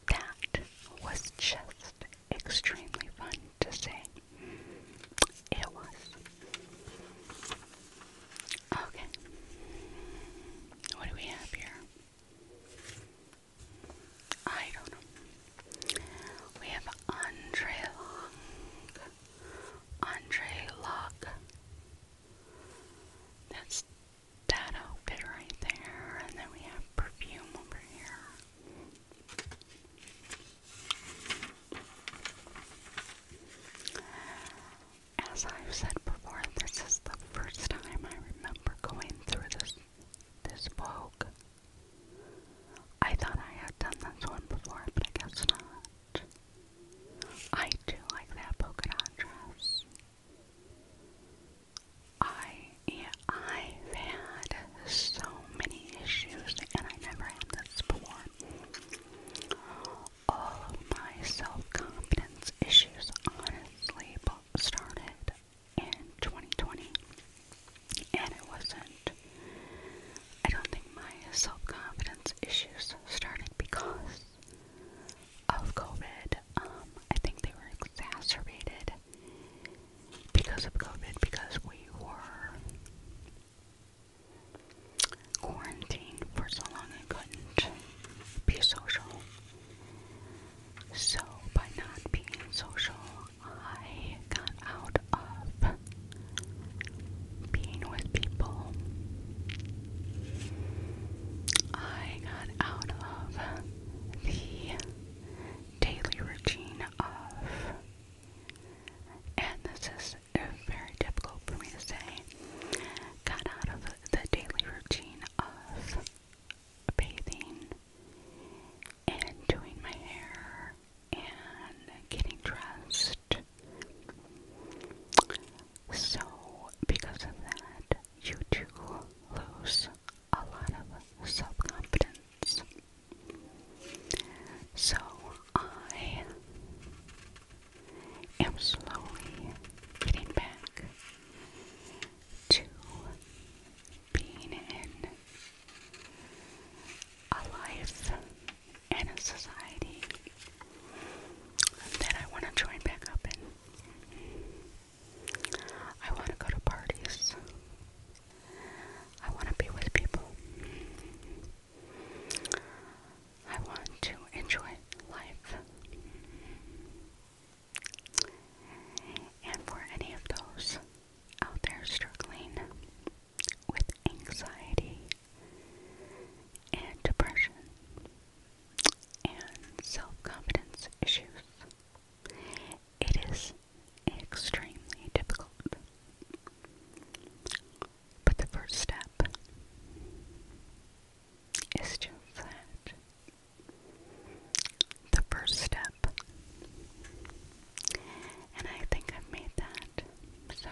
That was just extremely fun to say. It was. Okay. What do we have here? I don't know. We have Andre Long. Andre Luck. That's that outfit right there. And then we have perfume over here. As I've said before, this is the first time I remember going through this this Vogue. I thought I had done this one before, but I guess not. I do like that polka dot dress. I yeah, I've had so many issues, and I never had this before. All of my self confidence issues honestly started in 2020. And it wasn't, I don't think my self confidence issues started because of COVID. Um, I think they were exacerbated because of COVID because we were quarantined for so long I couldn't be social. So, by not being social, I got out of being with people. I got out of the daily routine of, and this is very difficult for me to say, got out of the daily routine of bathing and doing my hair and getting dressed. So, because of that, you do lose a lot of self confidence. So, I i am slowly getting back to being in a life and a society that I want to join back up in. I want to go to parties. I want to be with people. I want to enjoy life. And for any of those out there struggling with anxiety and depression and self confidence issues, it is extremely difficult. But the first step is just that. The first step. And I think I've made that. So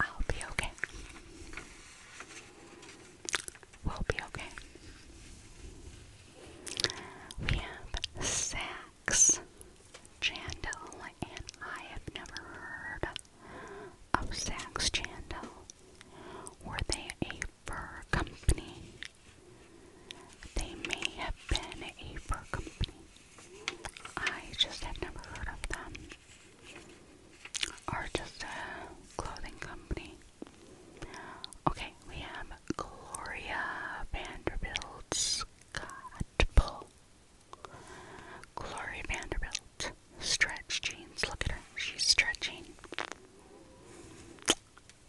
I'll be okay. We'll be okay. We have sad Max Chandel, and I have never heard of Sax Chandel. Were they a fur company? They may have been a fur company. I just have never heard of them. Or just a clothing company. Okay, we have Gloria Vanderbilt Scott Glory Vanderbilt. Stretch jeans. Look at her. She's stretching.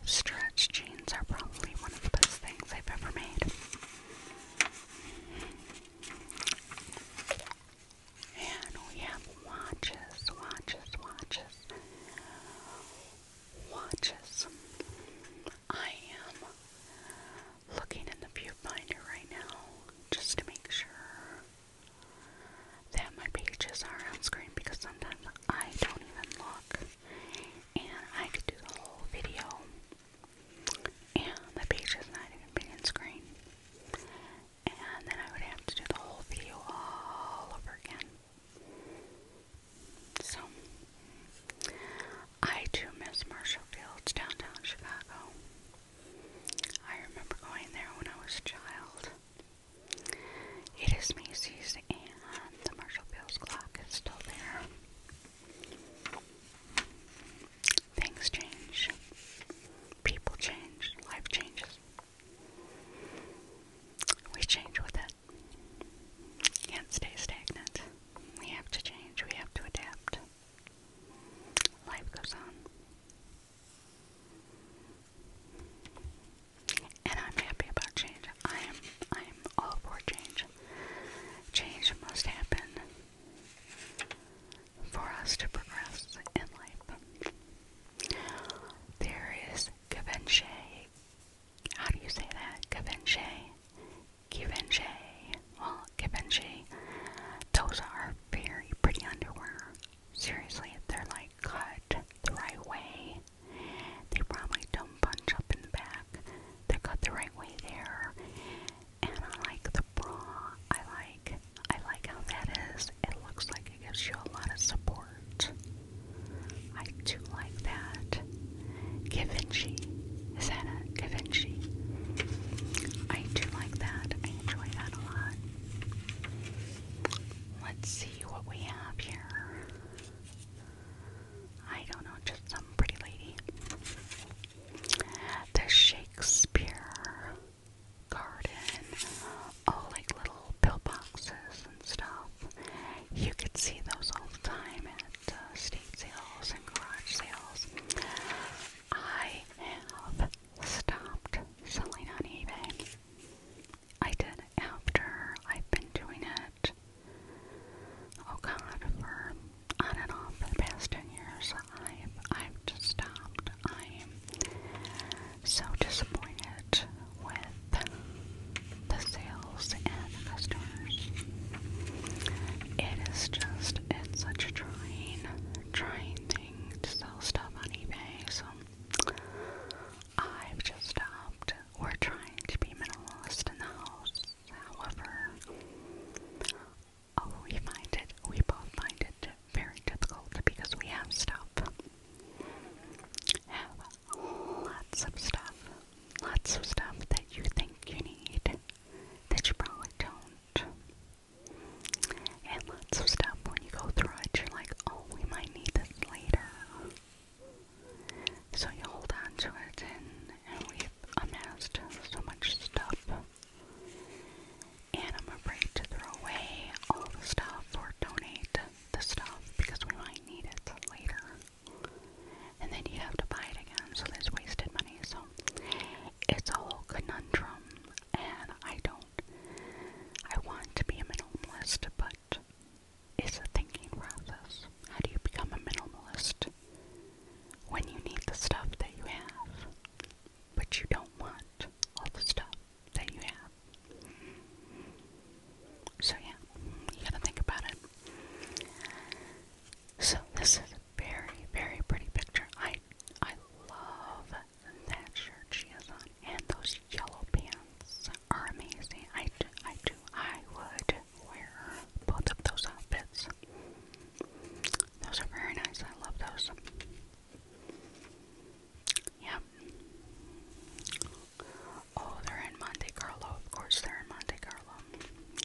Stretch jeans are probably one of the best things I've ever made. And we have watches, watches, watches, watches. I am looking in the viewfinder right now just to make sure that my pages are on screen because sometimes I don't even look and I could do the whole video and the pages is not even being on screen and then I would have to do the whole video all over again. So I do miss Marshall Fields downtown Chicago. I remember going there when I was a child. It is Macy's and the Marshall Fields clock is still there. Things change. People change. Life changes. We change with it. Can't stay stagnant. We have to change, we have to adapt. Life goes on. And I'm happy about change. I am I am all for change. Change must happen for us to progress in life. There is Givenchy. How do you say that? Givenchy givenchy. Well, givenchy. Those are very pretty underwear. Seriously, if they're like cut the right way, they probably don't bunch up in the back. They're cut the right way there. And I like the bra. I like I like how that is. It looks like it gives you a lot of support. I do like that. Givenchy. Is that it? Givenchy. I do like that. I enjoy that a lot. Let's see what we have here. I don't know, just some pretty lady. The Shakespeare Garden. Oh, like little pillboxes and stuff. You could see those all the time and estate sales and garage sales. I have stopped selling on eBay. I did after I've been doing it, oh god, for on and off the past 10 years. I've, I've just stopped. I'm so disappointed with the sales it is just, it's such a trying, trying thing to sell stuff on eBay, so I've just stopped. We're trying to be minimalist in the house, however, oh, we find it, we both find it very difficult because we have stuff. Have lots of stuff. Lots of stuff that you think you need that you probably don't. And lots of stuff when you go through it, you're like, oh, we might need this later. So you hold on it, and we've amassed so much stuff. And I'm afraid to throw away all the stuff or donate the stuff because we might need it later and then you have to buy it again, so that's wasted money. So it's a whole conundrum, and I don't. I want to be a minimalist, but it's a thinking process. How do you become a minimalist when you need the stuff that you have, but you don't want all the stuff that you have? So, yeah, you gotta think about it. So, this very, very pretty picture. I I love that shirt she is on. And those yellow pants are amazing. I do, I do. I would wear both of those outfits. Those are very nice. I love those. Yep. Oh, they're in Monte Carlo. Of course, they're in Monte Carlo.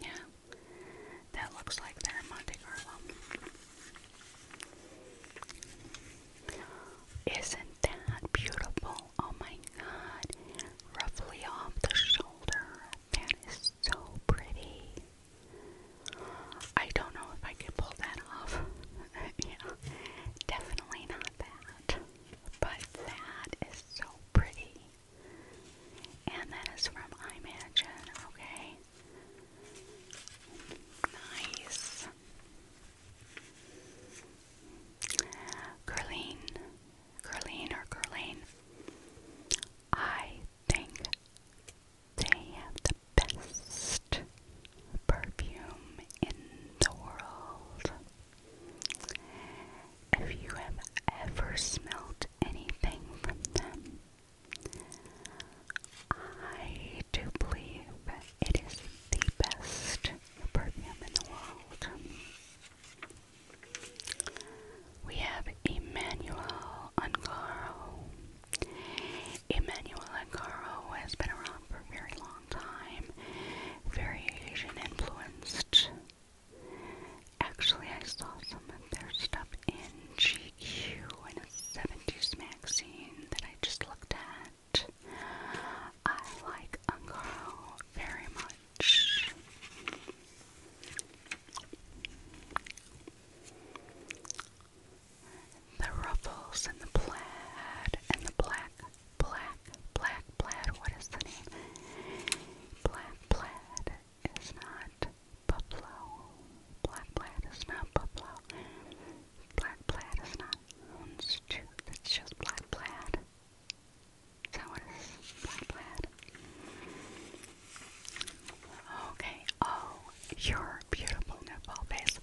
Yeah. That looks like they're in Monte Carlo. Isn't that beautiful? Oh my god. Roughly off the shoulder. That is so pretty. I don't know if I could pull that off. (laughs) yeah, definitely not that. But that is so pretty. And that is from iMagine, okay? Nice. Curline, Curline or Curline. I think they have the best perfume in the world. If you have ever smelled want anything from them. I do believe it is the best perfume in the world. We have Emmanuel Ungaro. Emmanuel Ungaro has been around for a very long time, very Asian influenced Actually, I saw some of their stuff in GQ in a 70s magazine that I just looked at. I like Uncarl very much. The ruffles and the plaid and the black, black, black plaid. What is the name? Black plaid is not buffalo. Black plat is not buffalo. Black plat is not houndstooth. It's just black plat. Is that what it is? Black plat. Okay. Oh, your beautiful nipple face.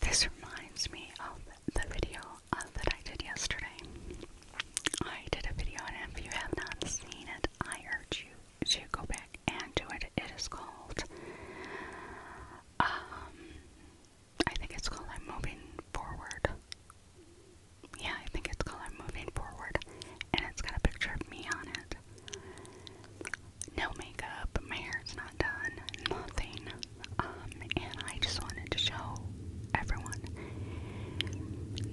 This reminds me of the video uh, that I did yesterday. I did a video, and if you have not seen it, I urge you to go back and do it. It is called, um, I think it's called I'm Moving Forward. Yeah, I think it's called I'm Moving Forward, and it's got a picture of me on it. No makeup, my hair's not done, nothing. Um, and I just wanted to show everyone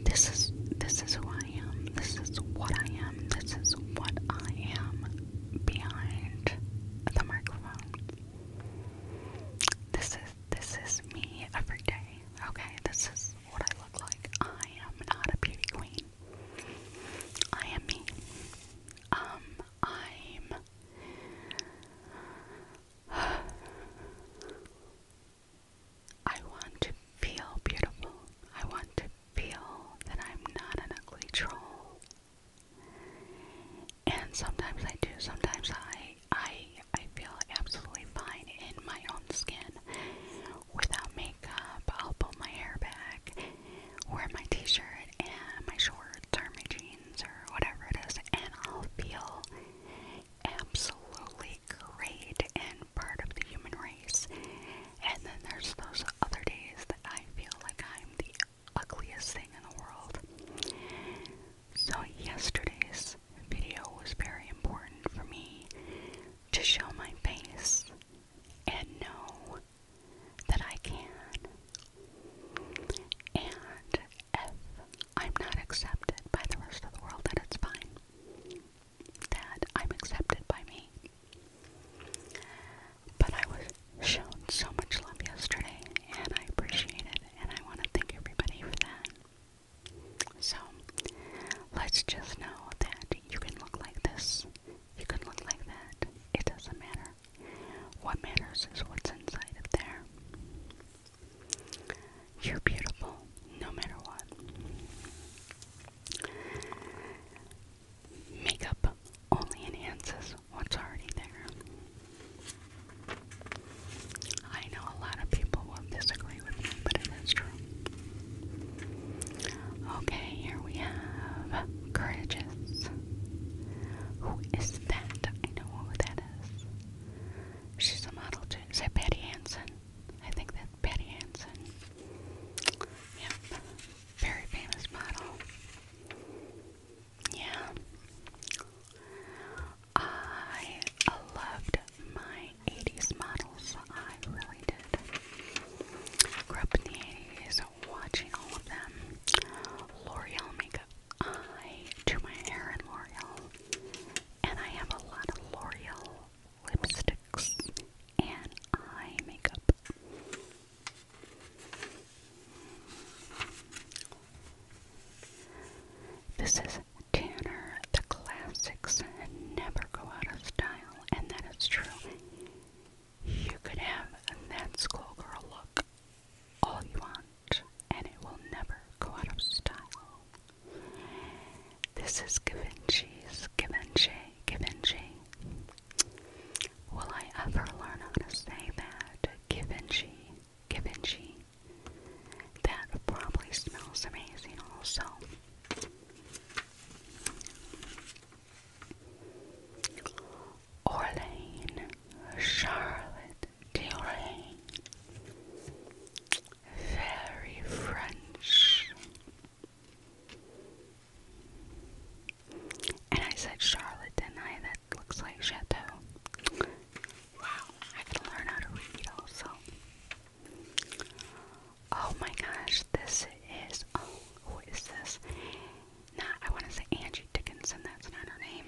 this is this is who I am. This is what I am. This is what I am behind the microphone. This is this is me every day. Okay, this is what I look like. I am not a beauty queen. I am me. Um, I'm I want to feel beautiful. I want to feel that I'm not an ugly troll. And sometimes I do. Sometimes I I I feel absolutely fine in my own skin without makeup. I'll pull my hair back, wear my t-shirt and my shorts or my jeans or whatever it is and I'll feel absolutely great and part of the human race. And then there's those other days that I feel like I'm the ugliest thing in the world. So, yesterday's video was very important for me to show my face and know that I can. And if I'm not accepted by the rest of the world, that it's fine that I'm accepted by me. But I was shown so much love yesterday, and I appreciate it, and I want to thank everybody for that. So, let's just know that you can look like this, you can look like that. It doesn't matter. What matters is what's inside of there. You're beautiful no matter what. Makeup only enhances what's already there. I know a lot of people will disagree with me, but it is true. Okay, here we have Courageous. Who is that? I know who that is. She's a model too. Is that Patty Hansen? I think that's Betty Hansen. Yep, very famous model. Yeah. I loved my 80s models. I really did. Grew up in the 80s watching all of them. L'Oreal makeup. I do my hair in L'Oreal. And I have a lot of L'Oreal lipsticks, and eye makeup. This is Tanner. The classics never go out of style, and that is true. You can have a that schoolgirl look all you want, and it will never go out of style. This is Givenchy's Givenchy, Givenchy. Will I ever learn how to say that? Givenchy, Givenchy. That probably smells amazing, also. Orlane, Charlotte Deoraine very French. And I said Charlotte, did That looks like Chateau. Wow, I can learn how to read also. Oh my gosh, this is. Oh, who is this? Not, I want to say Angie Dickinson, that's not her name.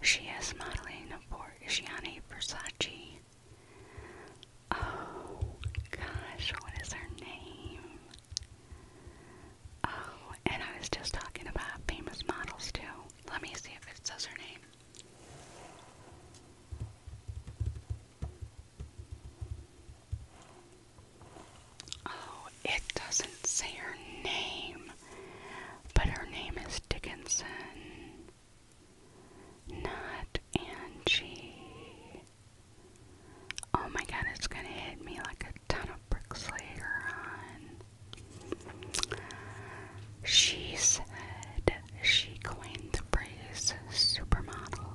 She is modeling for Gianni Versace. Oh gosh, what is her name? Oh, and I was just talking about famous models too. Let me see if it says her name. Oh, it doesn't say her name, but her name is Dickinson. Not Angie. Oh my god, it's gonna hit me like a ton of bricks later on. She said she coined the phrase supermodel.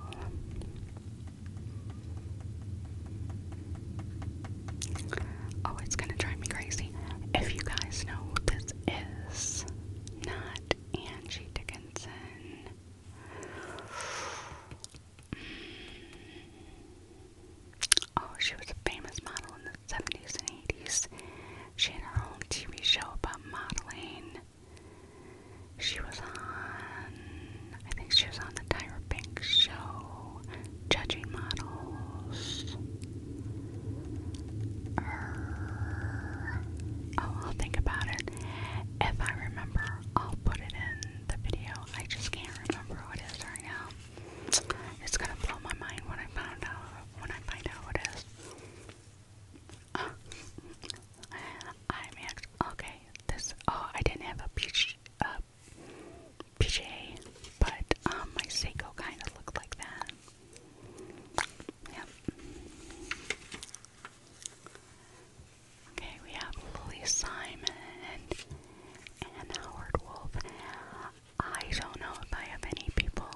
Oh, it's gonna drive me crazy. If you guys know who this is, not Angie Dickens. Mm, oh, she was a famous model in the 70s and 80s. She had her own TV show about modeling. She was on, I think she was on the Tyra Banks show, judging models oh, I'll think about it. If I remember, I'll put it in the video. I just can't remember what it is right now. It's gonna blow my mind when I found out when I find out what it is. (laughs) I'm okay. This oh, I didn't have a but um, my Seiko kind of looked like that. Yep. Okay, we have Lily Simon and Howard Wolf. I don't know if I have any people.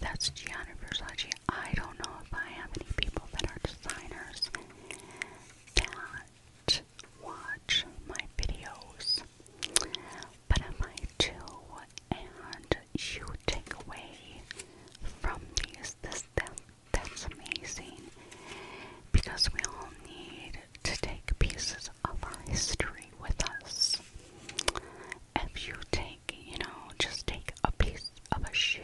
That's Gianna Versace. I don't know if I have any people that are designers that watch my videos, but I do. And you take away from these. This, that, that's amazing because we all need to take pieces of our history with us. If you take, you know, just take a piece of a shoe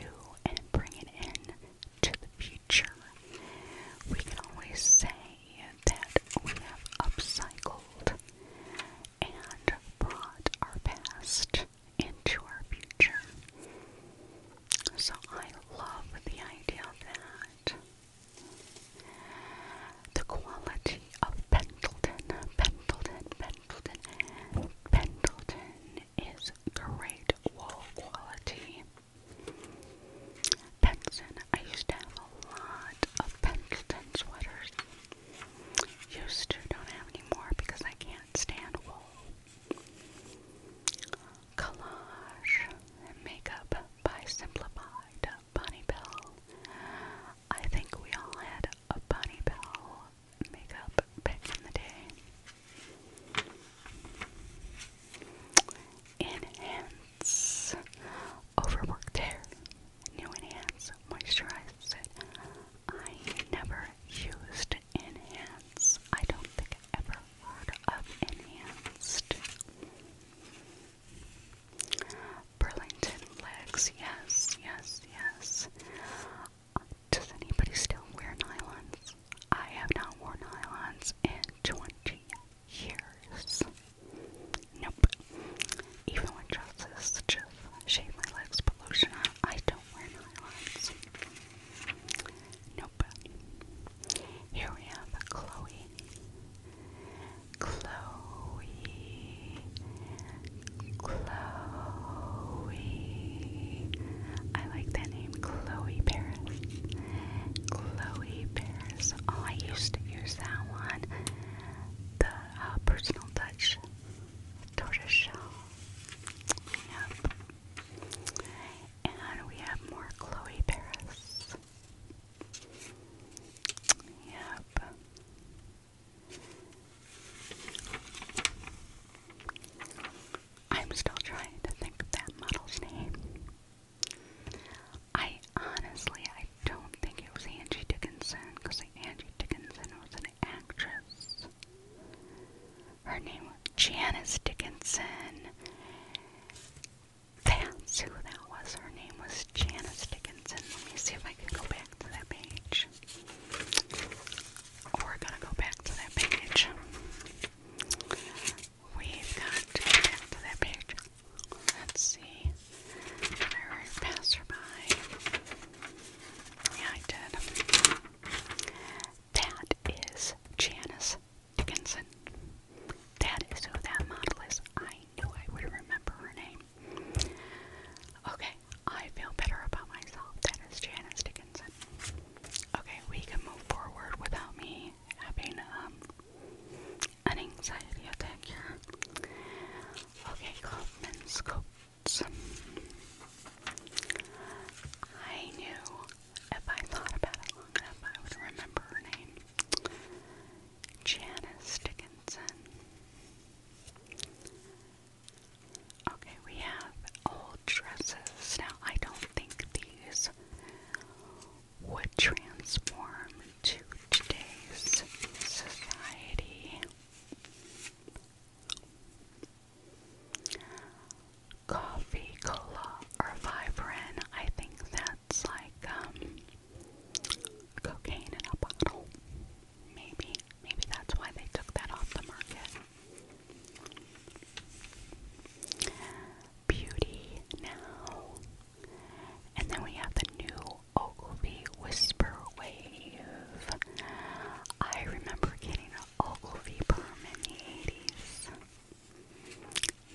and bring it in to the future, we can always say that we have upcycled and brought our past into our future. So I love the idea of that. The quality of Pendleton, Pendleton, Pendleton, Pendleton is great wall quality. Pendleton, I used to have a lot of Pendleton sweaters. Used to, don't have any more because I can't Stand wall. Collage makeup by Simplified Bunny Bell. I think we all had a Bunny Bell makeup back in the day. Enhance Overworked Hair. New Enhance Moisturize Set I never used Enhance. I don't think I ever heard of Enhanced. Burlington legs, yes, yes, yes. Does anybody still wear nylons? I have not worn nylons in 20 years. Nope. Even when dresses, just shave my legs, put lotion on, I don't wear Nope. Here we have Chloe. Chloe. Chloe. I like that name, Chloe Paris. Chloe Paris. Oh, I used to use that one. The uh, personal touch tortoiseshell yeah. And we have more Chloe Paris. Yep. I'm still trying to think of that model's name. I honestly, I don't think it was Angie Dickinson, because Angie Dickinson was an actress. Her name was Janice Dickinson. That's who that was. Her name was Janice Dickinson. Let me see if I can go back to that page. We're gonna go back to that page. We've got to go back to that page. Let's see. Did I write passerby? Yeah, I did. That is Janice Dickinson. That is who that model is. I knew I would remember her name. Okay, I feel better about myself. That is Janice Dickinson. Okay, we can move forward without me having um, an anxiety attack here. Okay, Kaufman's words. I knew if I thought about it long enough, I would remember her name Janice Dickinson. Okay, we have old dresses. Now, I don't think these would transform to today's society. Coffee, cola, or Vibrant. I think that's like um, cocaine in a bottle. Maybe. Maybe that's why they took that off the market. Beauty now. And then we have the new Ogilvy Whisper Wave. I remember getting Ogilvy perm in the 80s.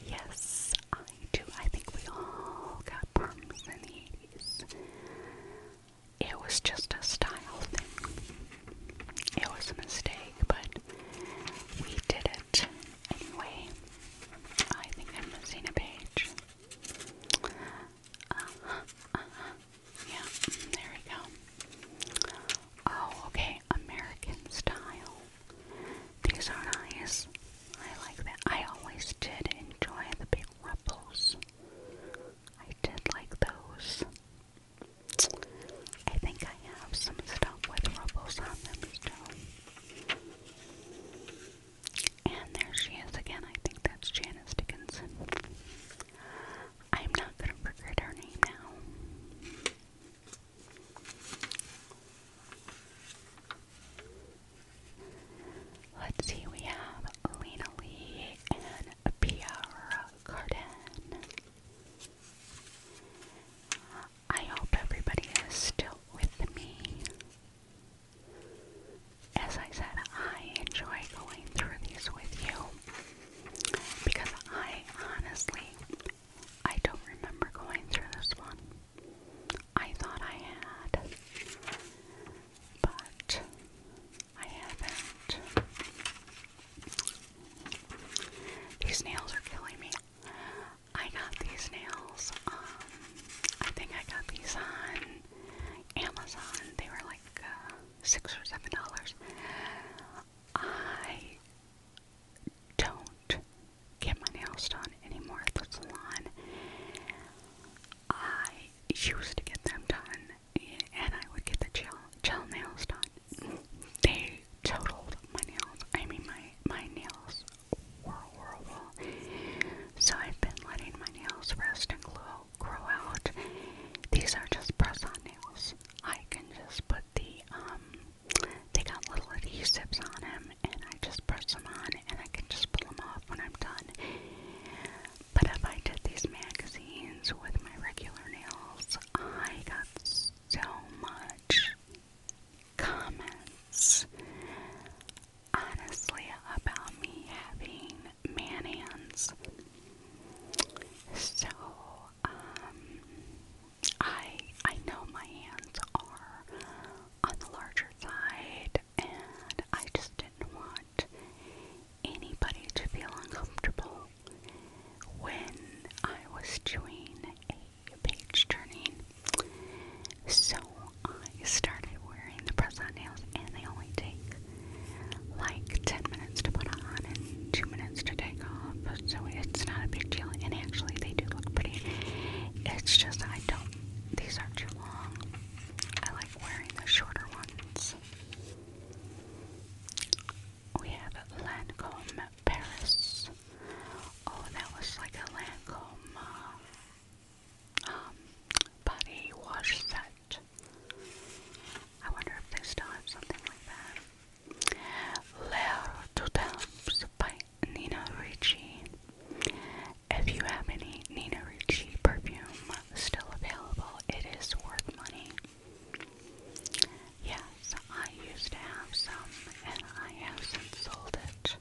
Yes, I do. I think we all got perms in the 80s. It was just a style thing. It was a mistake, but we did it anyway. I think I'm missing a page. Uh-huh, uh-huh. Yeah, there we go. Oh, okay, American style. These are nice. I like that. I always did enjoy the big ruffles. I did like those. I think I have some stuff with ruffles on them still. And there she is again. I think that's Janice Dickinson. I'm not gonna forget her name now. Let's see, we have Lena Lee and Pierre Cardin. I hope everybody is still with me. As I said, I enjoy going through these with you. Because I honestly, I don't remember going through this one. I thought I had, but I haven't. These nails are killing me. I got these nails, um, I think I got these on Amazon. They were like, uh, six or seven dollars. I don't get my nails done anymore at the salon. I used to get them done, and I would get the gel gel nails done. They totaled my nails. I mean, my my nails were horrible. So I've been letting my nails rest and glow grow out. These are just press on nails. I can just put the, um, they got little adhesives on them, and I just press them on, and I can just pull them off when I'm done. But if I did these magazines with my regular nails, I got so much comments, honestly, about me having man hands. So, um, I I know my hands are on the larger side, and I just didn't want anybody to feel uncomfortable when I was doing a page turning. So I started wearing the press-on nails, and they only take like 10 minutes to put on and 2 minutes to take off, so it's not a big deal. And actually, they do look pretty. It's just I don't, these aren't too long. I like wearing the shorter ones. We have Lancome Paris. Oh, that was like a Lancome uh, um, body wash set. I wonder if they still have something like that. Letter by Nina Ricci. If you have any Nina Ricci perfume still available, it is worth money. Yes, I used to have some and I have since sold it,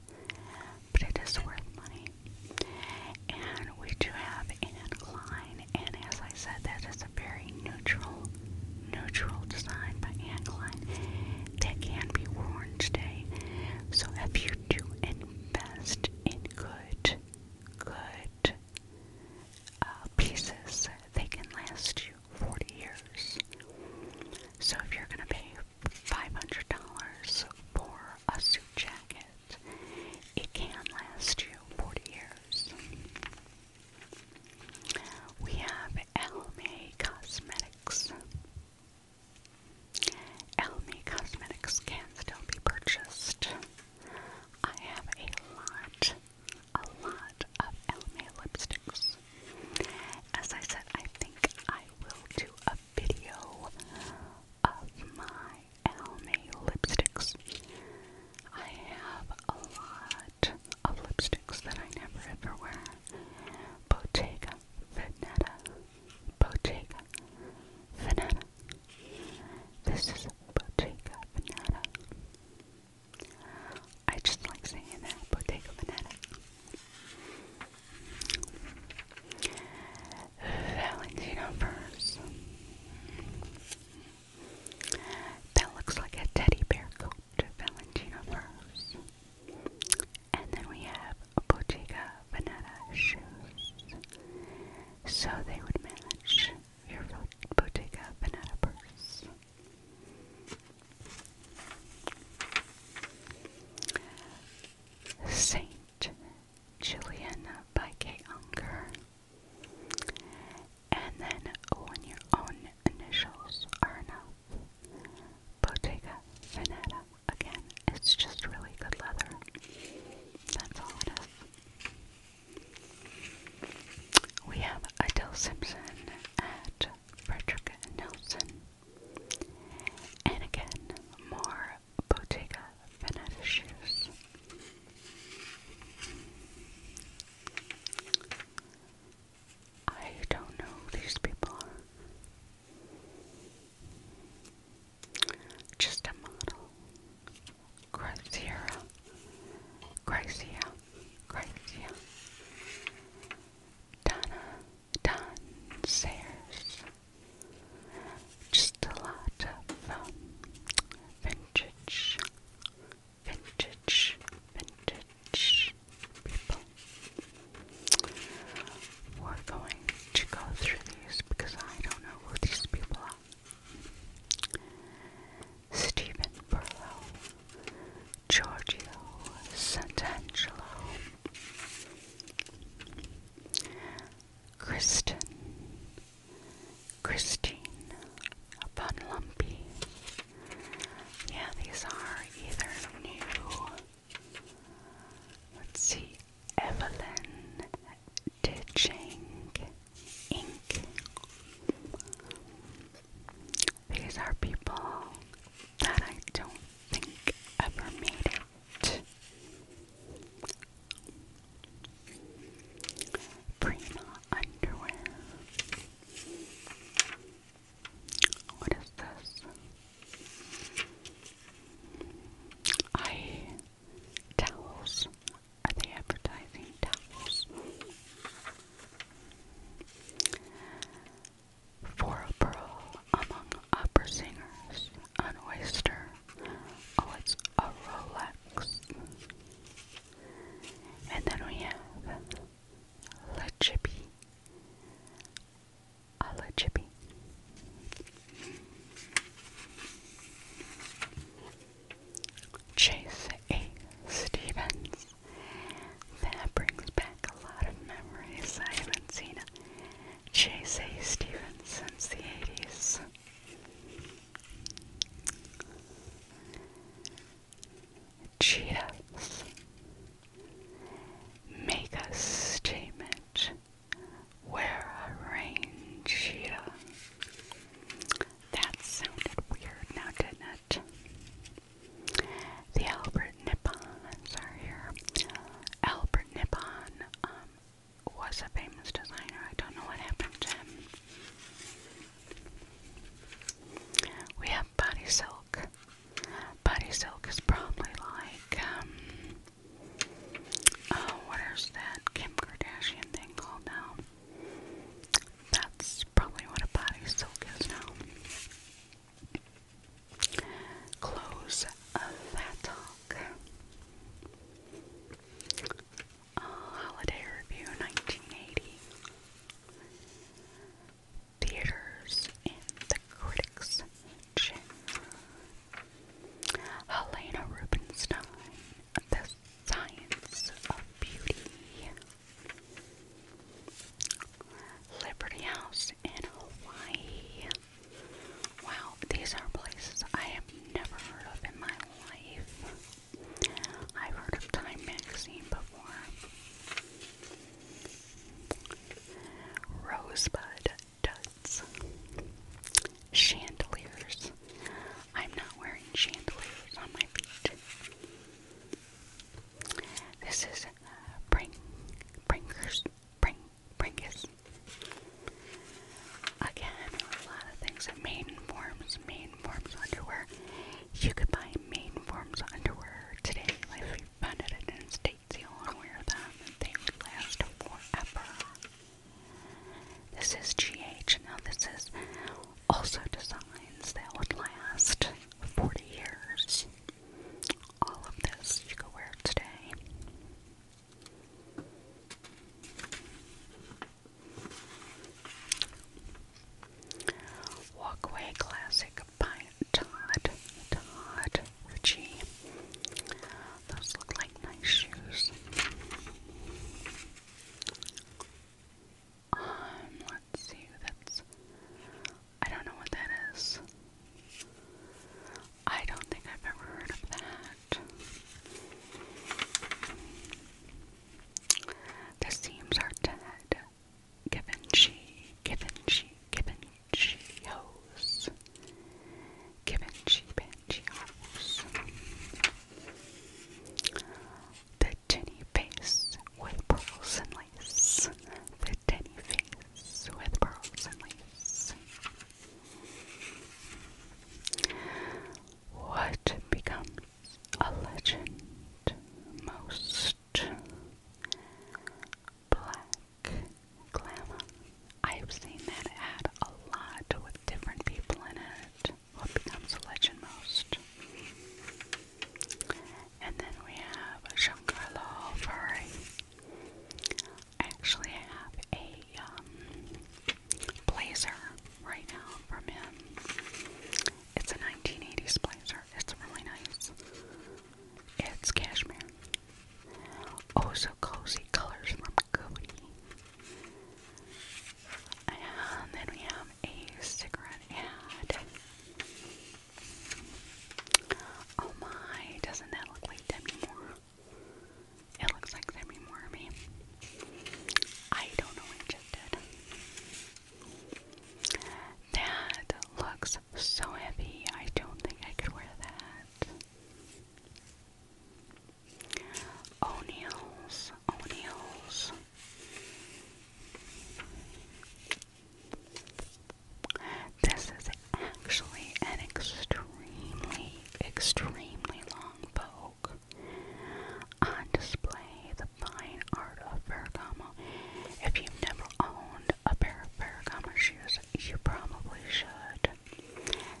but it is worth money. And we do have and and as I said, that is a very neutral, neutral design by Anne that can be worn today. So if you do invest in good, good uh, pieces, they can last you 40 years. So if you're going to pay $500 for a suit jacket, it can last you 40 years. We have Elme Cosmetics. Elme Cosmetics can still be purchased. I have a lot, a lot of Elme lipsticks. As I said, I think I will do a video of my Elme lipsticks I have a lot of lipsticks that I never ever wear. Bottega Veneta. Bottega Veneta. This is Bottega Veneta. I just like saying that, Bottega Veneta. Valentino first. That looks like a teddy bear coat, Valentino furs. And then we have a Bottega Veneta shoes. So they would match your Bottega Veneta purse. Saint Julian by Kay Unger. And then when your own initials are enough, Bottega Veneta. Again, it's just really good leather. That's all it is. We have Adele Simpson at Frederick Nelson. And again, more Bottega Veneta shoes. I don't know who these people are. Just a model. Gracia. Gracia. Gracia. Donna. Don Sayers. Just a lot of um, vintage vintage, vintage people. We're going to go through these because I don't know who these people are. Stephen Burlow, Giorgio Santangelo, Kristen Christine upon Lumpy. Yeah, these are either new. Let's see, Evelyn Ditching Inc. These are people that I don't think ever made it. Prima underwear. What is this? I towels. Are they advertising towels? For a pearl among opera singers, an oyster. Oh, it's a Rolex. And then we have Le Chippy. A Chippy. Chase A. Stevens. That brings back a lot of memories. I haven't seen a Chase A. Stevens since the 80s. Cheers. Make a statement. Where a rain cheetah. That sounded weird now, didn't it? The Albert Nippons are here. Albert Nippon um, was a famous designer. I don't know what happened to him. We have body silk. Body silk is probably like, um, oh, what is that Kim Kardashian thing called now? That's probably what a body silk is now. Close of that talk. Holiday Review 1980. Theaters in the Critics' Helena Rubinstein, The Science of Beauty. Liberty House in Hawaii. Wow, these are places I have never heard of in my life. I've heard of Time Magazine before. Rosebud duds. Chandeliers. I'm not wearing chandeliers on my feet. This is Brink, Brinkers, Brink, Brinkus. Again, a lot of things that maiden forms, maiden Forms underwear. You could buy Main Forms underwear today if you found it at the States. You'll want to wear them and they would last forever. This is GH. Now, this is also designs that would last 40 years. All of this you could wear today. Walkway Classic by Todd, Todd Ritchie. Those look like nice shoes. Um, let I don't know what that is. I don't think I've ever heard of that. The seams are dead. Given she, given she, given she hose. Given she, banshee hose. The tinny face with pearls and lace. The tinny face with pearls and lace. What becomes a legend most black glamour. I've seen that ad a lot with different people in it. What becomes a legend most? And then we have Giancarlo Ferrari. I have a um, blazer right now from him. It's a 1980s blazer. It's really nice. It's cashmere. Oh, so cozy colors from Cody. And then we have a cigarette ad. Oh my, doesn't that look like Demi Moore? It looks like Demi Moore to me. I don't know which it did. That looks so heavy. I don't think I could wear that. O'Neill's, O'Neill's. This is actually an extremely, extremely long poke. On display, the fine art of Ferragamo. If you've never owned a pair of Ferragamo shoes, you probably should.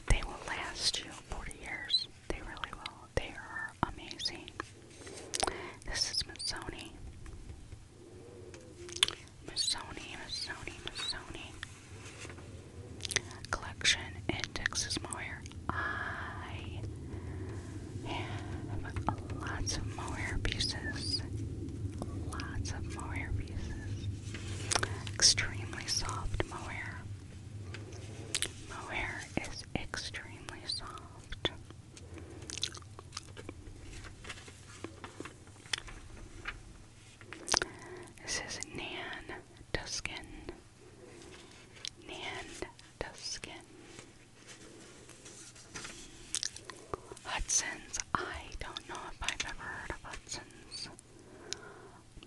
They will last you 40 years. They really will. They are amazing. This is Missoni. Missoni, Missoni, Missoni. Collection in Moyer. I have lots of mohair pieces. Lots of mohair pieces. Extremely soft mohair. Mohair is extremely soft. This is Nan Duskin. Nan Duskin. Hudson's. I don't know if I've ever heard of Hudson's.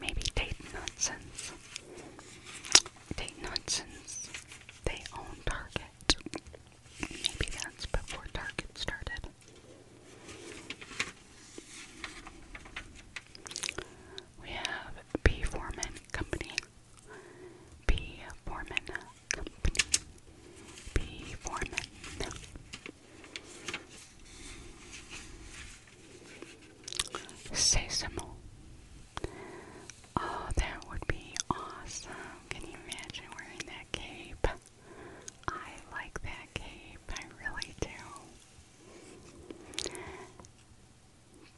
Maybe Dayton nonsense. Dayton nonsense. They own Target. Maybe that's before Target started. We have B. Foreman Company B. Foreman Company. B. Foreman. Sesame. Oh, that would be awesome. Can you imagine wearing that cape? I like that cape. I really do.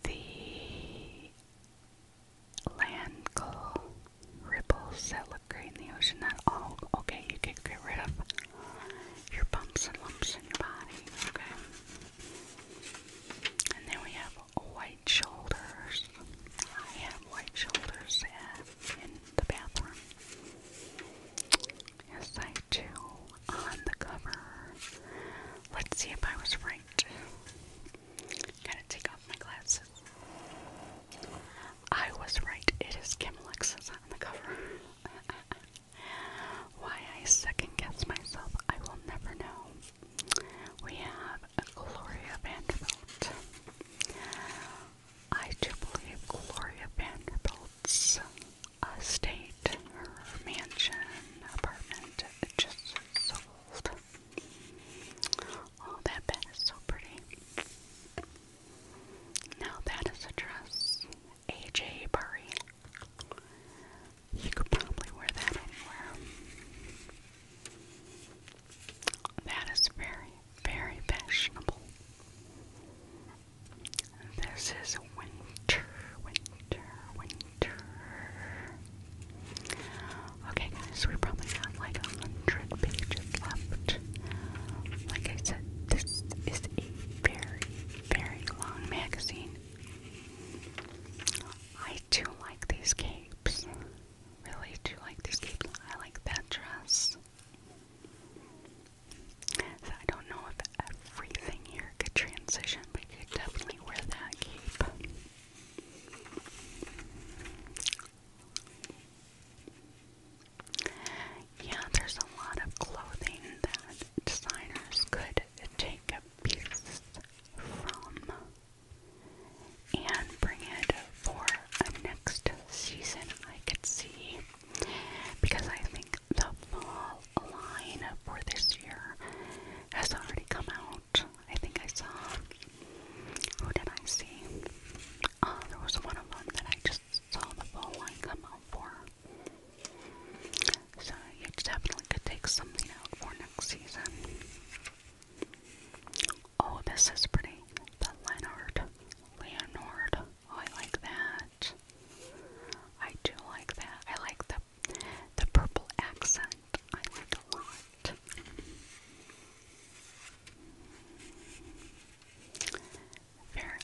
The land coal that look great in the ocean that all okay you could get rid of your bumps and lumps in your body okay and then we have white shoulders I have white shoulders in the bathroom yes I do on the cover let's see if I was right Gotta take off my glasses. I was right, it is Kim Alexis on the cover. (laughs) Why I second guess myself, I will never know. We have Gloria Vanderbilt. I do believe Gloria Vanderbilt's estate, uh, her mansion, apartment, just so Oh, that bed is so pretty. Now that is a dress. AJ Burry. You could probably wear that anywhere. That is very, very fashionable. This is winter, winter, winter. Okay, guys, we probably have like a hundred pages left. Like I said, this is a very, very long magazine. I do like these capes. Really do like these capes. I like that dress. So I don't know if everything here could transition, but you definitely wear that cape. Yeah, there's a lot of clothing that designers could take a piece from and bring it for a next season, I could see. Because I think the fall line for this year has already come out I think I saw. Who did I see? Oh, there was one of them that I just saw the full line come out for. So you definitely could take something out for next season. Oh, this is pretty. The Leonard. Leonard. Oh, I like that. I do like that. I like the the purple accent I like a lot.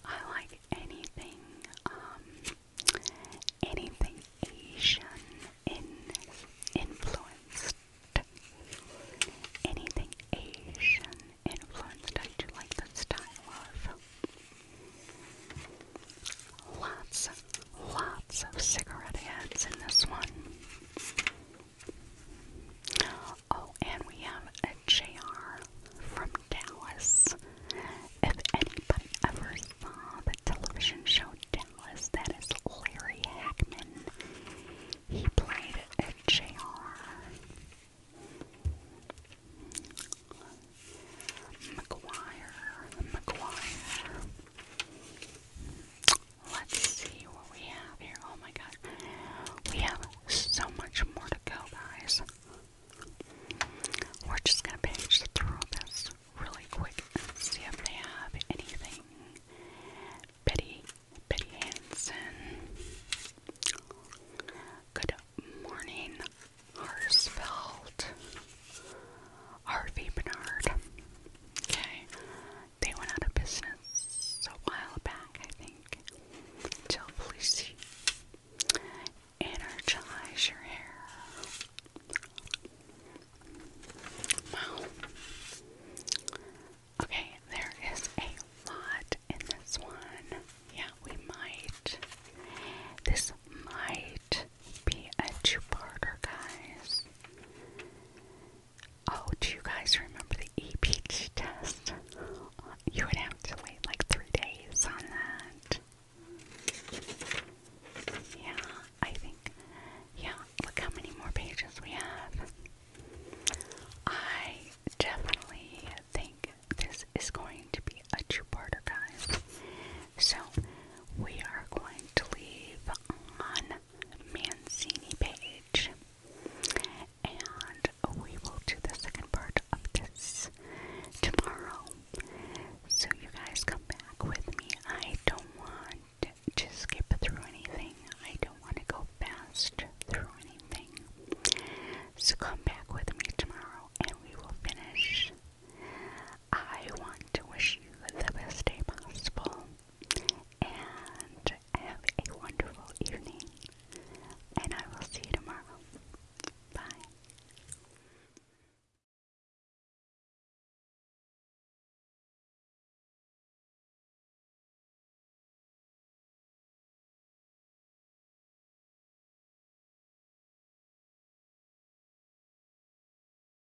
I like anything, um, anything Asian influenced. Anything Asian influenced, I do like the style of. Lots Lots of cigarette heads in this one. Oh, and we have a JR from Dallas. If anybody ever saw the television show Dallas, that is Larry Hackman. He played a JR. McGuire, McGuire. Let's see what we have here. Oh my god. We have so much more to go, guys. We're just gonna page through this really quick see if they have anything. Betty, Betty Hansen. Good morning, Harsfeld. Harvey Bernard. Okay. They went out of business a while back, I think. Tell Felici. Energize your hair. Wow. Okay, there is a lot in this one. Yeah, we might. This might be a two-parter, guys. Oh, do you guys remember the EPG test? You would have to wait like three days on that. Yeah, I think. Yeah, look how many more pages we have. I definitely think this is going to be a two-parter, guys. So we are going to leave on Mancini page. And we will do the second part of this tomorrow. So you guys come back with me. I don't want to skip through anything. I don't want to go fast through anything. So come back with me tomorrow and we will finish I want to wish you the best day possible and have a wonderful evening. And I will see you tomorrow. Bye.